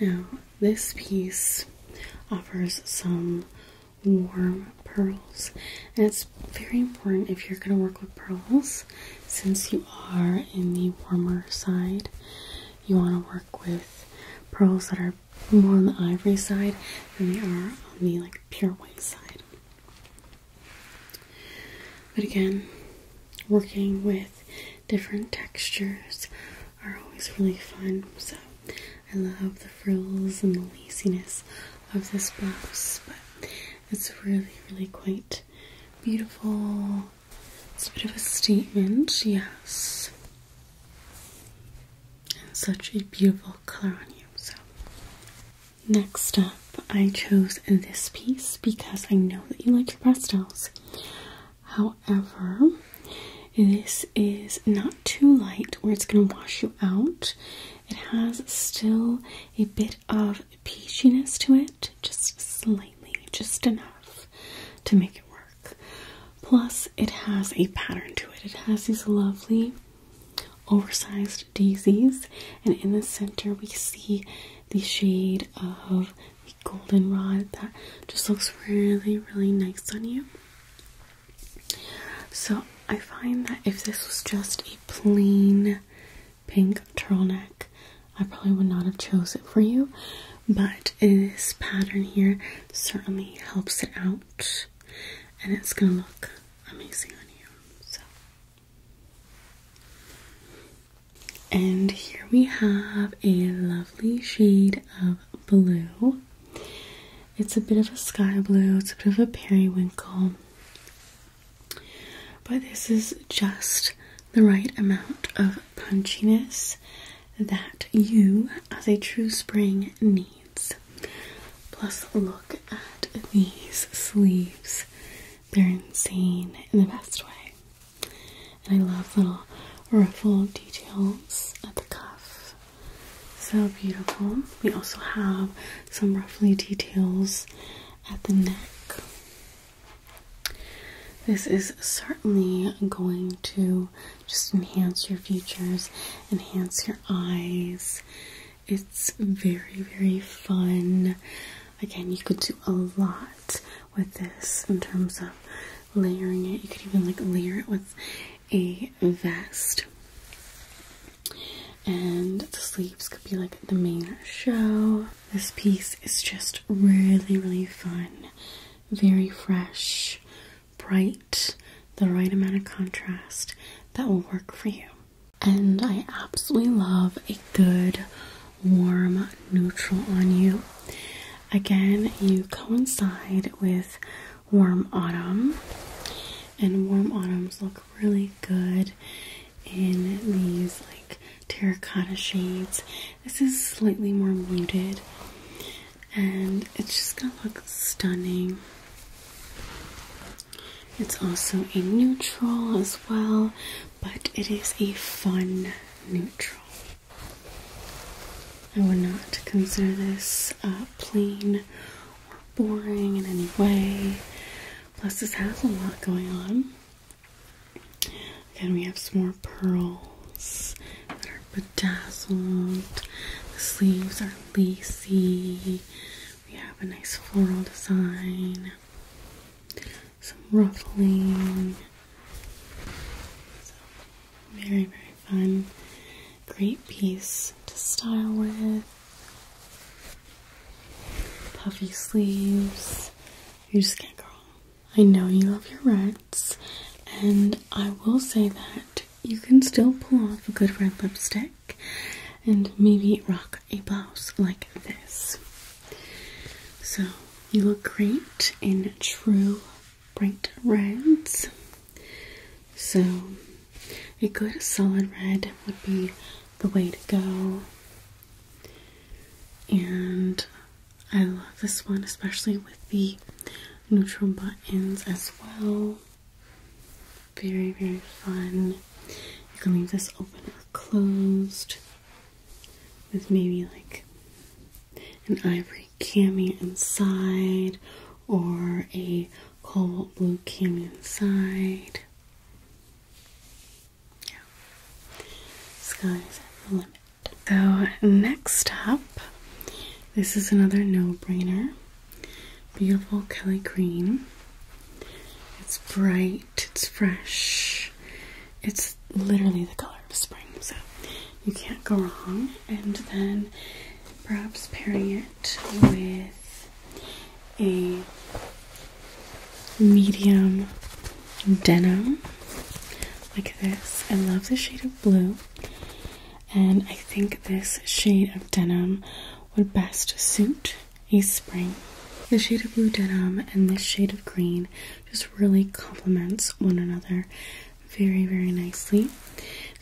Now, this piece offers some warm pearls, and it's very important if you're going to work with pearls since you are in the warmer side. You want to work with pearls that are more on the ivory side than they are on the like pure white side. But again, working with different textures are always really fun. So I love the frills and the laziness of this blouse, but it's really, really quite beautiful. It's a bit of a statement, yes. And such a beautiful color on you. So next up, I chose this piece because I know that you like pastels. However, this is not too light where it's going to wash you out. It has still a bit of peachiness to it, just slightly, just enough to make it work. Plus, it has a pattern to it. It has these lovely oversized daisies, and in the center, we see the shade of goldenrod that just looks really, really nice on you. So I find that if this was just a plain pink turtleneck, I probably would not have chose it for you, but this pattern here certainly helps it out, and it's gonna look amazing on you. So. And here we have a lovely shade of blue. It's a bit of a sky blue, it's a bit of a periwinkle. But this is just the right amount of punchiness that you, as a true spring, needs. Plus, look at these sleeves. They're insane in the best way. And I love little ruffle details at the cuff. So beautiful. We also have some ruffly details at the neck. This is certainly going to just enhance your features, enhance your eyes. It's very, very fun. Again, you could do a lot with this in terms of layering it. You could even like layer it with a vest. And the sleeves could be like the main show. This piece is just really, really fun. Very fresh, bright, the right amount of contrast that will work for you. And I absolutely love a good warm neutral on you. Again, you coincide with warm autumn, and warm autumns look really good in these like terracotta shades. This is slightly more muted, and it's just gonna look stunning. It's also a neutral as well, but it is a fun neutral. I would not consider this uh, plain or boring in any way. Plus, this has a lot going on. Again, we have some more pearls that are bedazzled. The sleeves are lacy. We have a nice floral design some ruffling. So, very, very fun. Great piece to style with. Puffy sleeves. You just can't go wrong. I know you love your reds, and I will say that you can still pull off a good red lipstick and maybe rock a blouse like this. So you look great in true bright reds. So a good solid red would be the way to go. And I love this one, especially with the neutral buttons as well. Very, very fun. You can leave this open or closed with maybe like an ivory cami inside or a cobalt blue cami inside. Yeah. Sky's the limit. So next up, this is another no-brainer. Beautiful Kelly green. It's bright it's fresh, it's literally the color of spring, so you can't go wrong. And then perhaps pairing it with a medium denim like this. I love the shade of blue, and I think this shade of denim would best suit a spring. The shade of blue denim and this shade of green just really complements one another very, very nicely.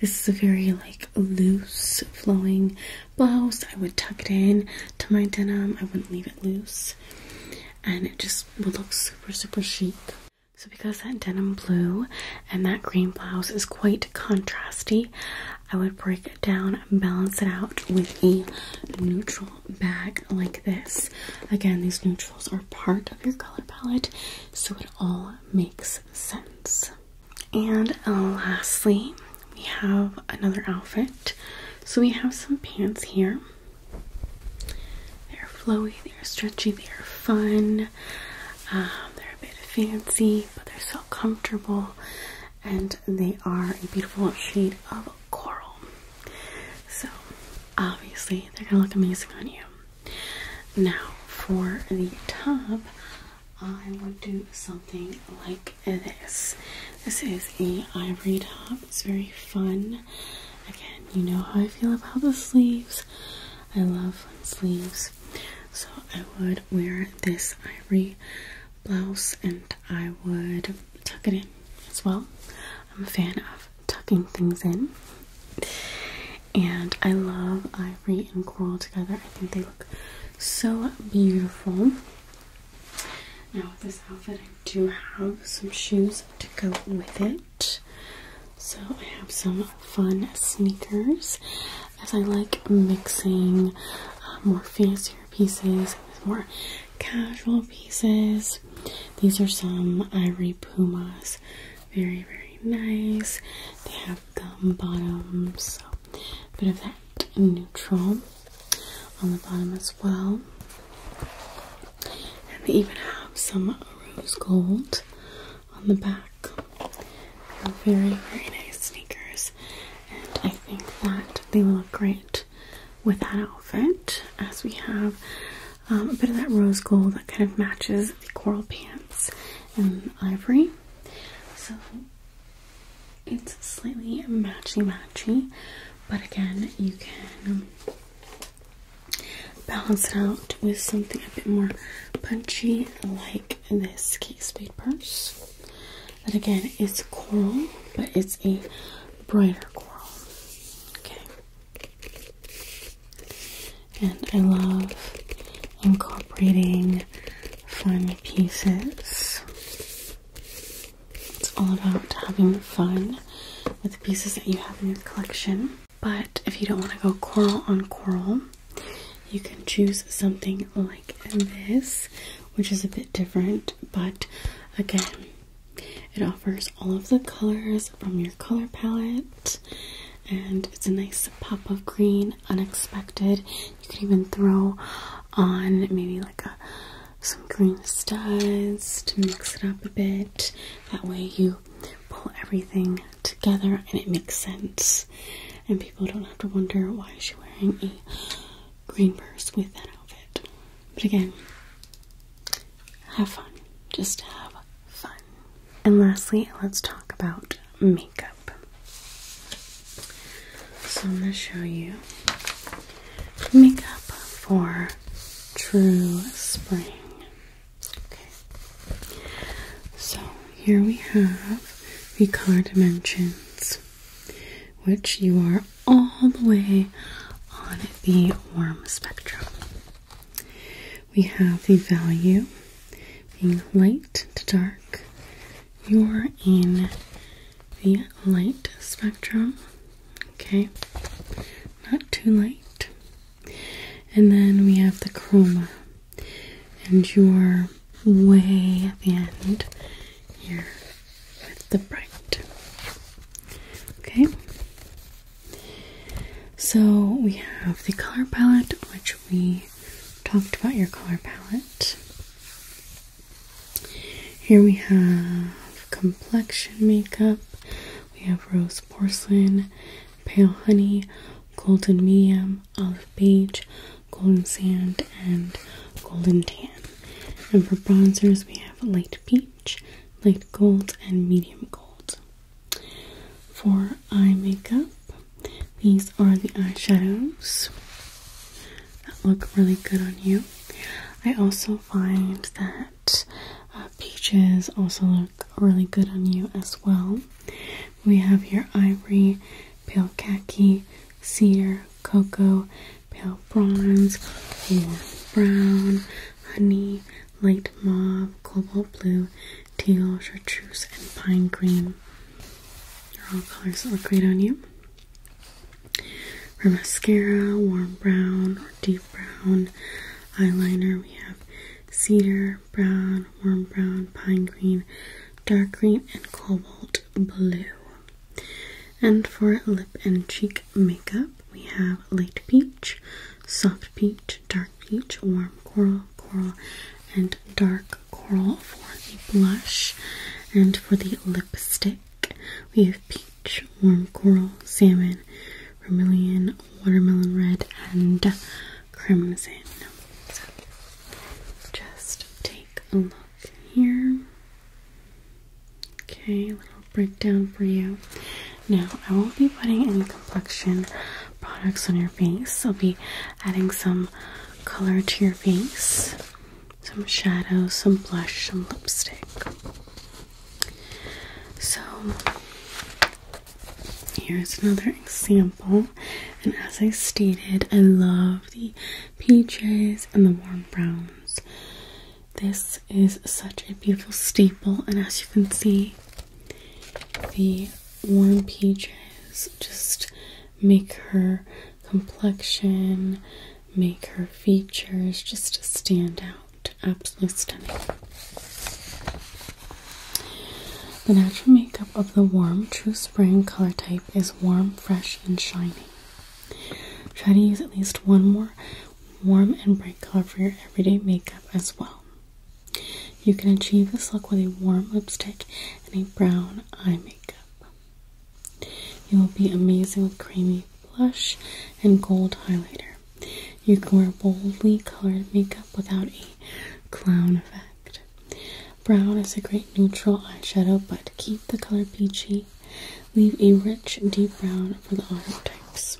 This is a very like loose flowing blouse. I would tuck it in to my denim. I wouldn't leave it loose. And it just would look super, super chic. So because that denim blue and that green blouse is quite contrasty, I would break it down and balance it out with a neutral bag like this. Again, these neutrals are part of your color palette, so it all makes sense. And uh, lastly, we have another outfit. So we have some pants here. They're flowy, they're stretchy, they're fun. Um, they're a bit fancy, but they're so comfortable, and they are a beautiful shade of coral. So, obviously, they're gonna look amazing on you. Now, for the top, I would do something like this. This is a ivory top. It's very fun. Again, you know how I feel about the sleeves. I love sleeves. So I would wear this ivory blouse and I would tuck it in as well. I'm a fan of tucking things in. And I love ivory and coral together. I think they look so beautiful. Now, with this outfit, I do have some shoes to go with it. So, I have some fun sneakers as I like mixing uh, more fancier pieces with more casual pieces. These are some Ivory Pumas. Very, very nice. They have gum bottoms, so a bit of that neutral on the bottom as well. And they even have some rose gold on the back. very, very nice sneakers, and I think that they will look great with that outfit, as we have um, a bit of that rose gold that kind of matches the coral pants and ivory. So it's slightly matchy matchy, but again, you can um, balance it out with something a bit more punchy, like this Kate Spade purse. That again is coral, but it's a brighter coral. Okay. And I love incorporating fun pieces. It's all about having fun with the pieces that you have in your collection. But if you don't want to go coral on coral, you can choose something like this, which is a bit different, but again, it offers all of the colors from your color palette, and it's a nice pop of green, unexpected. You can even throw on maybe like a some green studs to mix it up a bit. That way you pull everything together and it makes sense. And people don't have to wonder why she's wearing a green purse with that outfit. But again, have fun. Just have fun. And lastly, let's talk about makeup. So I'm going to show you makeup for True Spring. So here we have the color dimensions, which you are all the way on the warm spectrum. We have the value being light to dark. You're in the light spectrum, okay? Not too light. And then we have the chroma, and you're way at the end here with the bright. Okay, so we have the color palette, which we talked about your color palette. Here we have complexion makeup. We have rose porcelain, pale honey, golden medium, olive beige, golden sand, and golden tan. And for bronzers, we have light peach light gold and medium gold. For eye makeup, these are the eyeshadows that look really good on you. I also find that uh, peaches also look really good on you as well. We have your ivory, pale khaki, cedar, cocoa, pale bronze, warm brown, honey, light mauve, cobalt blue, teal, chartreuse, and pine green. They're all colors that look great on you. For mascara, warm brown or deep brown. Eyeliner, we have cedar, brown, warm brown, pine green, dark green, and cobalt blue. And for lip and cheek makeup. We have light peach, soft peach, dark peach, warm coral, coral, and dark coral for the blush. And for the lipstick, we have peach, warm coral, salmon, vermilion, watermelon red, and crimson. just take a look here. Okay, a little breakdown for you. Now, I won't be putting any complexion products on your face. I'll be adding some color to your face, some shadows, some blush, some lipstick. So, here's another example. And as I stated, I love the peaches and the warm browns. This is such a beautiful staple, and as you can see, the warm peaches just make her complexion, make her features just stand out. Absolutely stunning. The natural makeup of the warm true spring color type is warm, fresh, and shiny. Try to use at least one more warm and bright color for your everyday makeup as well. You can achieve this look with a warm lipstick and a brown eye makeup. You will be amazing with creamy blush and gold highlighter. You can wear boldly colored makeup without a clown effect. Brown is a great neutral eyeshadow, but keep the color peachy. Leave a rich, deep brown for the other types.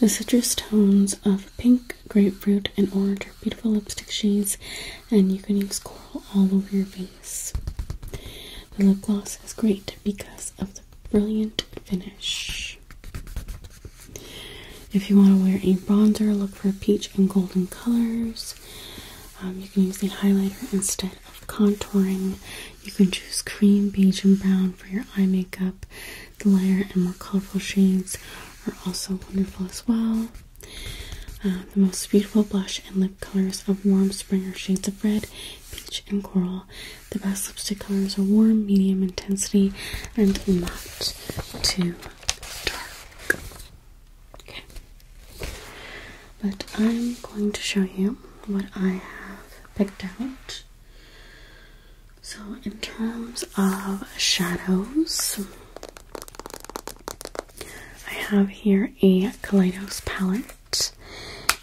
The citrus tones of pink, grapefruit, and orange are beautiful lipstick shades, and you can use coral all over your face. The lip gloss is great because of the brilliant finish. If you want to wear a bronzer, look for peach and golden colors. Um, you can use the highlighter instead of contouring you can choose cream, beige, and brown for your eye makeup. The lighter and more colorful shades are also wonderful as well. Uh, the most beautiful blush and lip colors are warm springer shades of red, peach, and coral. The best lipstick colors are warm, medium intensity, and not too dark. Okay. But I'm going to show you what I have picked out so, in terms of shadows, I have here a Kaleidos palette,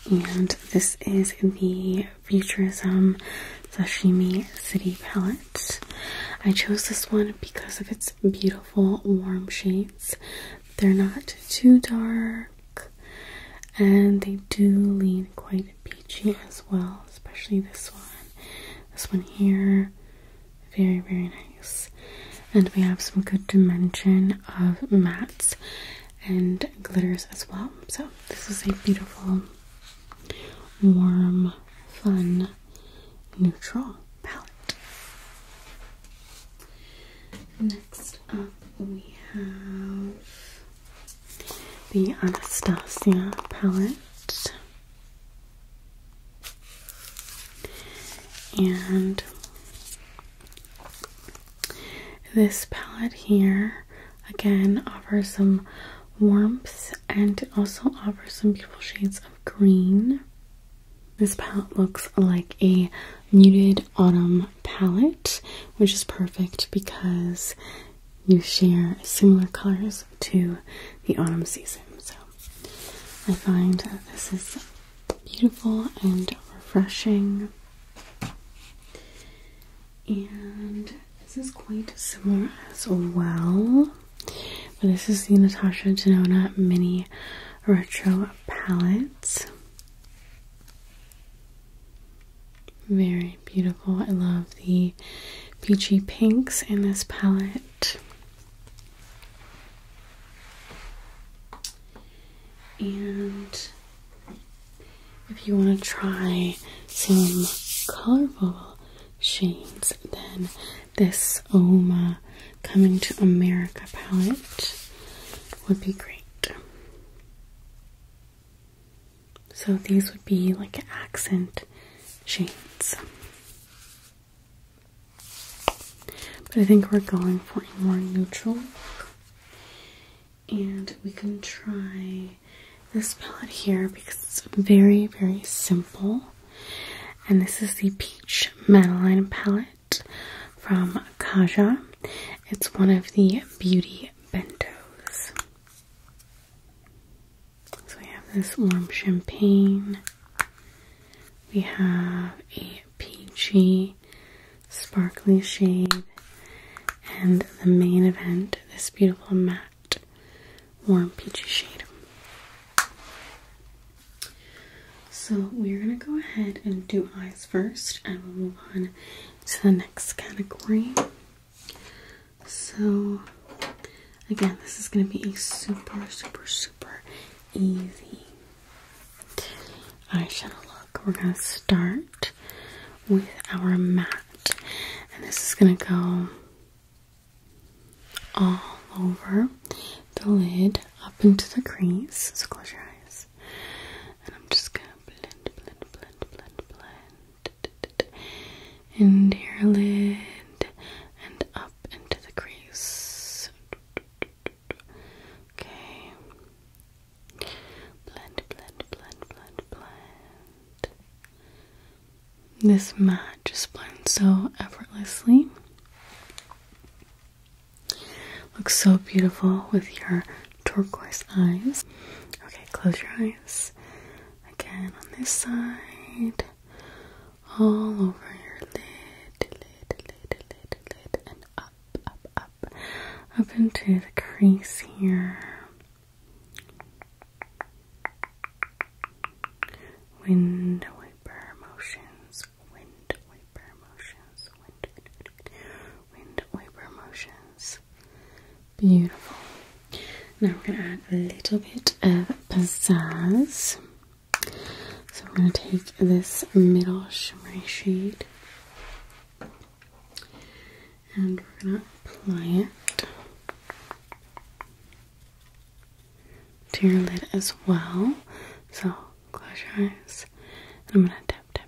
and this is the Futurism Sashimi City palette. I chose this one because of its beautiful warm shades. They're not too dark and they do lean quite peachy as well, especially this one. This one here, very, very nice. And we have some good dimension of mattes and glitters as well. So, this is a beautiful, warm, fun, neutral palette. Next up, we have the Anastasia palette. And this palette here again offers some warmth and it also offers some beautiful shades of green. This palette looks like a muted autumn palette, which is perfect because you share similar colors to the autumn season. So I find that this is beautiful and refreshing. And this is quite similar as well. But this is the Natasha Denona Mini Retro Palette. Very beautiful. I love the peachy pinks in this palette. And if you want to try some colorful shades, then this Oma Coming to America palette would be great. So these would be like accent shades. But I think we're going for a more neutral look. And we can try this palette here because it's very, very simple. And this is the Peach Madeline palette from Kaja. It's one of the beauty bentos. So we have this warm champagne. We have a peachy sparkly shade. And the main event, this beautiful matte warm peachy shade. So we're going to go ahead and do eyes first and we'll move on to the next category. So, again, this is going to be a super, super, super easy eyeshadow look. We're going to start with our matte, and this is going to go all over the lid up into the crease. So, close your eyes, and I'm just going to blend, blend, blend, blend, blend and your lid and up into the crease. Okay. Blend, blend, blend, blend, blend. This matte just blends so effortlessly. Looks so beautiful with your turquoise eyes. Okay, close your eyes. Again on this side. All over your lid, lid, lid, lid, lid, and up, up, up. Up into the crease here. Wind wiper motions, wind wiper motions, wind, wiper motions. Beautiful. Now we're going to add a little bit of pizzazz. So we're going to take this middle shimmery shade and we're going to apply it to your lid as well. So close your eyes and I'm going to tap, tap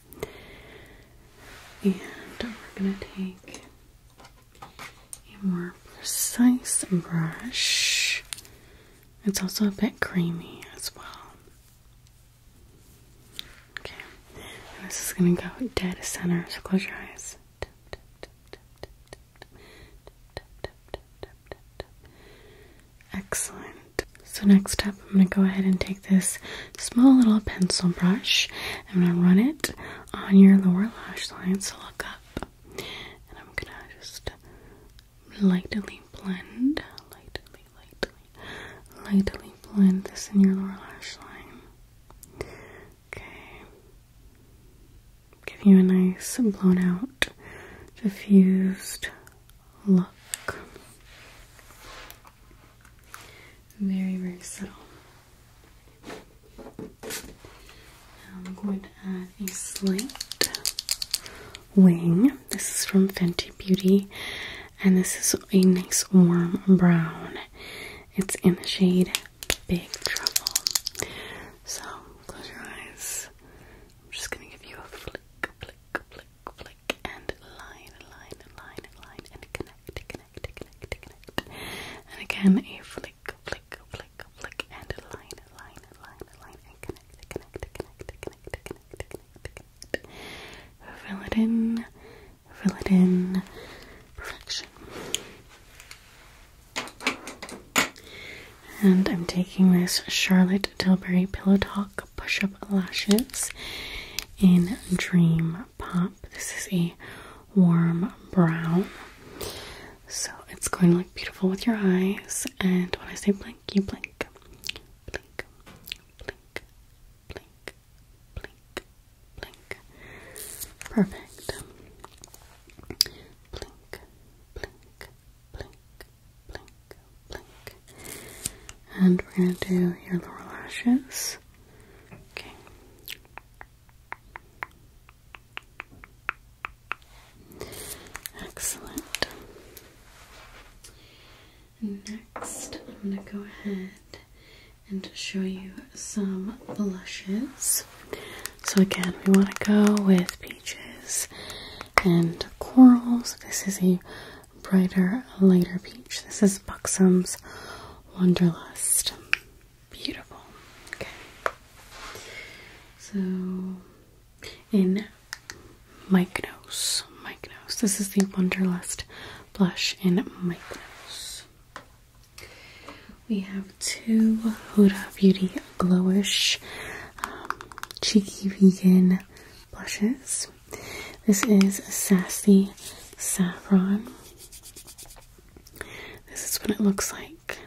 And we're going to take a more precise brush. It's also a bit creamy as well. Okay, this is going to go dead center, so close your eyes. Excellent. So next up, I'm going to go ahead and take this small little pencil brush. I'm going to run it on your lower lash line, so look up. And I'm going to just lightly blend, lightly, lightly, lightly blend this in your lower lash line. Okay. Give you a nice blown out, diffused look. Very, very subtle. Now I'm going to add a slant wing. This is from Fenty Beauty, and this is a nice warm brown. It's in the shade Big Trouble. So close your eyes. I'm just gonna give you a flick, flick, flick, flick click and line, line, line, line, and connect, connect, connect, connect. And again, a flick, flick, flick, flick, and line, line, line, line, and connect, connect, connect, connect, connect, connect, connect. Fill it in, fill it in, perfection. And I'm taking this Charlotte Tilbury Pillow Talk Push Up Lashes in Dream Pop. This is a warm brown. So it's going to look beautiful with your eyes. And when I say blink, you blink. Blink, blink, blink, blink, blink. Perfect. Blink, blink, blink, blink, blink. And we're going to do your lower lashes. Okay. Excellent. Next, I'm going to go ahead and show you some blushes. So, again, we want to go with peaches and corals. This is a brighter, lighter peach. This is Buxom's Wonderlust. Beautiful. Okay. So, in Mykonos, Mykonos. This is the Wonderlust blush in Mykonos. We have two Huda Beauty Glowish um, Cheeky Vegan blushes. This is Sassy Saffron. This is what it looks like.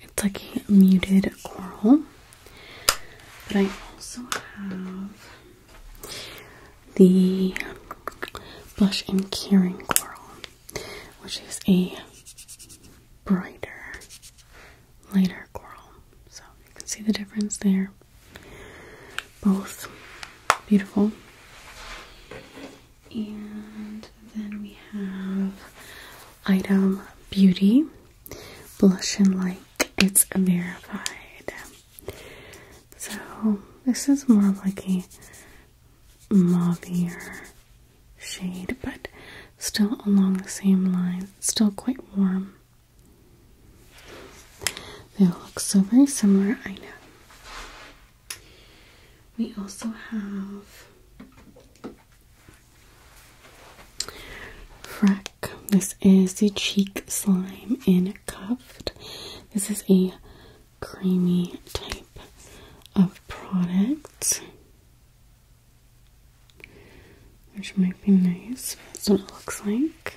It's like a muted coral. But I also have the Blush and Curing Coral, which is a brighter, lighter coral. So you can see the difference there. Both beautiful. And then we have Item Beauty Blush and Like. It's verified. So this is more like a mauvier shade, but still along the same line. still quite warm. They all look so very similar, I know. We also have Freck. This is the cheek slime in cuffed. This is a creamy type of product. Which might be nice. That's what it looks like.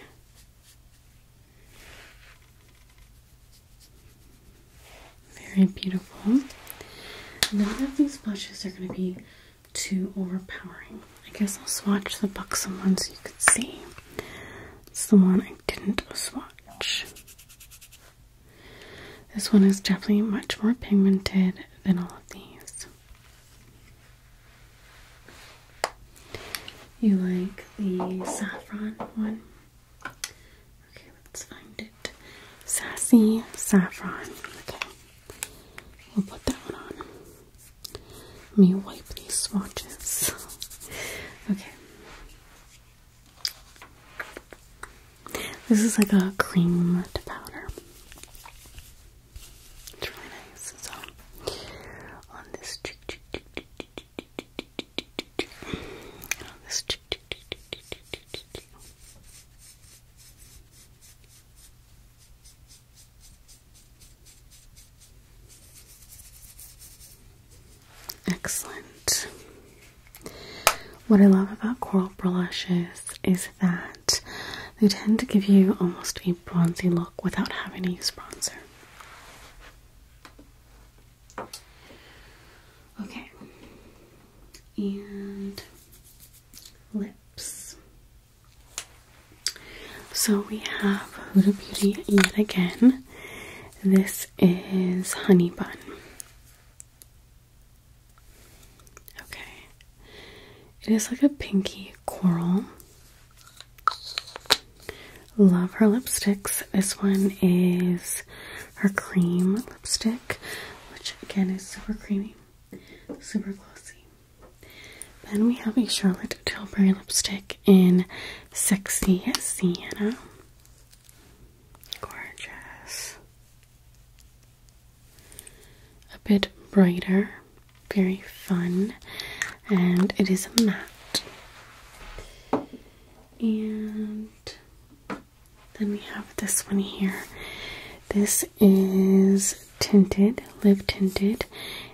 Very beautiful. None of these blushes are going to be too overpowering. I guess I'll swatch the buxom one so you can see. It's the one I didn't swatch. This one is definitely much more pigmented than all of these. You like the saffron one? Okay, let's find it. Sassy saffron. Okay, we'll put that one on. Let me wipe these swatches. Okay. This is like a cream powder. It's really nice. So on this Excellent. What I love about coral brushes is that they tend to give you almost a bronzy look without having to use bronzer. Okay. And lips. So we have Huda Beauty yet again. This is Honey Bun. Okay. It is like a pinky coral. Love her lipsticks. This one is her cream lipstick, which again is super creamy, super glossy. Then we have a Charlotte Tilbury lipstick in Sexy Sienna. Gorgeous. A bit brighter, very fun and it is a matte. And then we have this one here. This is tinted, live tinted,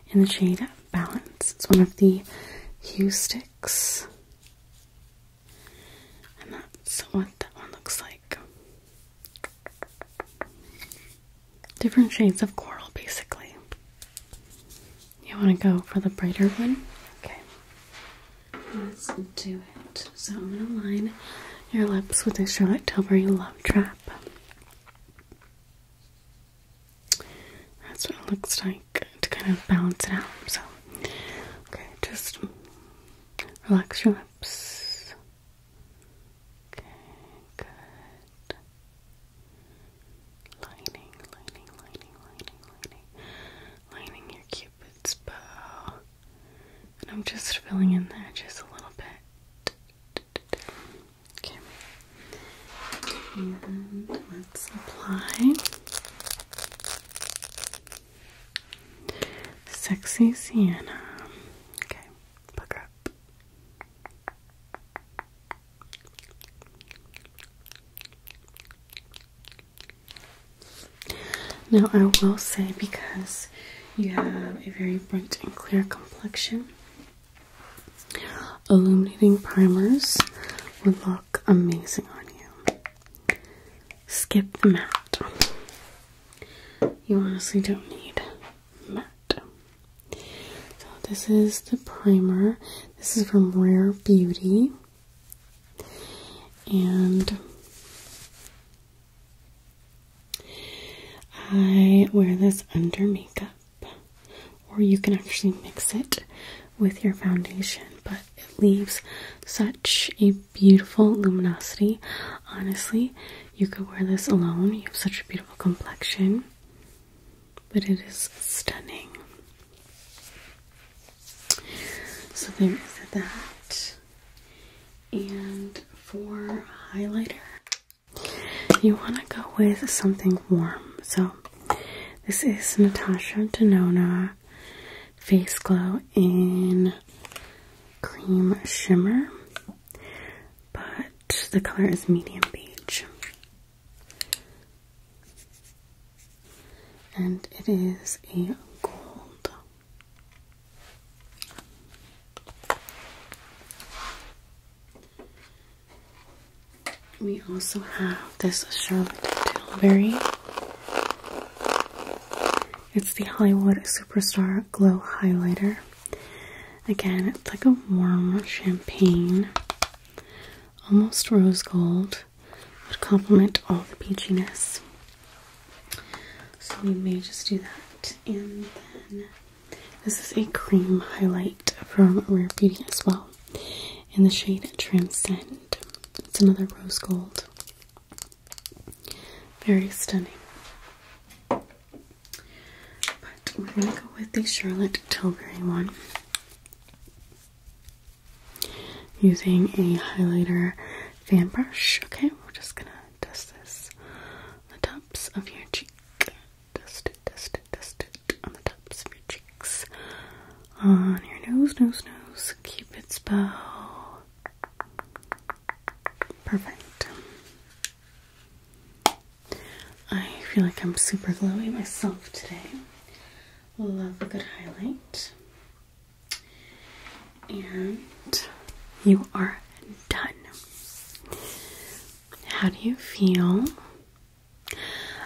in the shade Balance. It's one of the hue sticks. And that's what that one looks like. Different shades of coral, basically. You want to go for the brighter one? Okay. Let's do it. So I'm going to line your lips with this Charlotte Tilbury Love Trap. That's what it looks like to kind of balance it out. So, okay, just relax your lips. Okay, good. Lining, lining, lining, lining, lining. Lining your cupid's bow. And I'm just filling in there just a little bit. Okay. And let's apply Sexy Sienna. Okay, book up. Now, I will say because you have a very bright and clear complexion, illuminating primers would look amazing on you. Skip the matte. You honestly don't need matte. So, this is the primer. This is from Rare Beauty. And I wear this under makeup, or you can actually mix it with your foundation, but it leaves such a beautiful luminosity. Honestly, you could wear this alone. You have such a beautiful complexion but it is stunning. So there is that. And for highlighter, you want to go with something warm. So this is Natasha Denona Face Glow in Cream Shimmer, but the color is medium beige and it is a gold. We also have this Charlotte Tilbury. It's the Hollywood Superstar Glow Highlighter. Again, it's like a warm champagne almost rose gold would complement all the peachiness. So we may just do that. And then this is a cream highlight from Rare Beauty as well in the shade Transcend. It's another rose gold. Very stunning. But we're going to go with the Charlotte Tilbury one using a highlighter fan brush. Okay, we're just gonna dust this on the tops of your cheek. Dust it, dust it, dust it on the tops of your cheeks. On your nose, nose, nose. Cupid's bow. Perfect. I feel like I'm super glowy myself today love a good highlight. And you are done. How do you feel?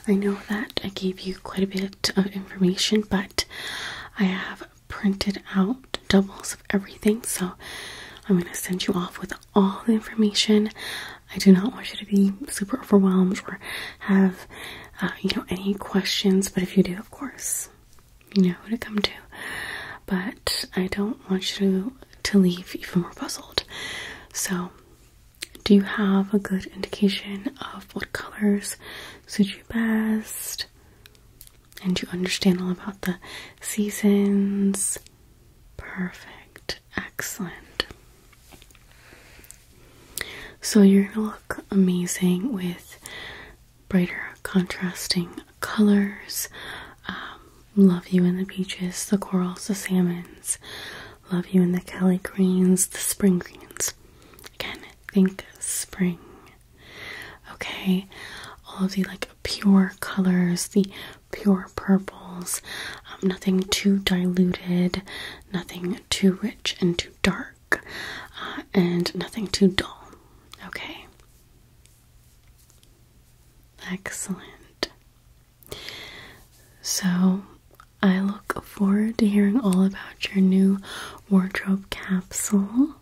I know that I gave you quite a bit of information, but I have printed out doubles of everything, so I'm going to send you off with all the information. I do not want you to be super overwhelmed or have, uh, you know, any questions. But if you do, of course, you know who to come to. But I don't want you to, to leave even more puzzled. So, do you have a good indication of what colors suit you best? And you understand all about the seasons? Perfect. Excellent. So you're gonna look amazing with brighter contrasting colors. Um, love you in the peaches, the corals, the salmons. Love you in the Kelly greens, the spring greens. Again, think spring. Okay, all of the like pure colors, the pure purples, um, nothing too diluted, nothing too rich and too dark, uh, and nothing too dull. Okay? Excellent. So, I look forward to hearing all about your new wardrobe capsule.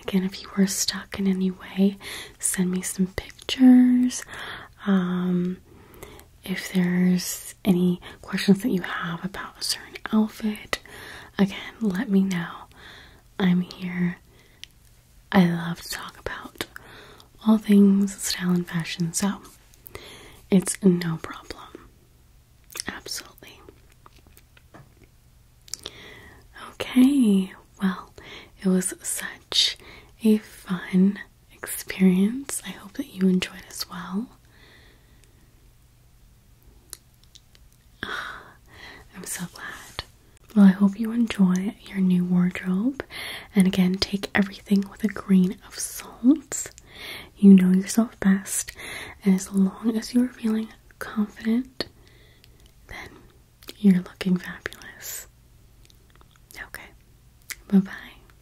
Again, if you were stuck in any way, send me some pictures. Um, if there's any questions that you have about a certain outfit, again, let me know. I'm here. I love to talk about all things style and fashion, so it's no problem. Absolutely. Okay, well, it was such a fun experience. I hope that you enjoyed as well. I'm so glad. Well, I hope you enjoy your new wardrobe. And again, take everything with a grain of salt. You know yourself best. as long as you are feeling confident, then you're looking fabulous. Okay, bye bye.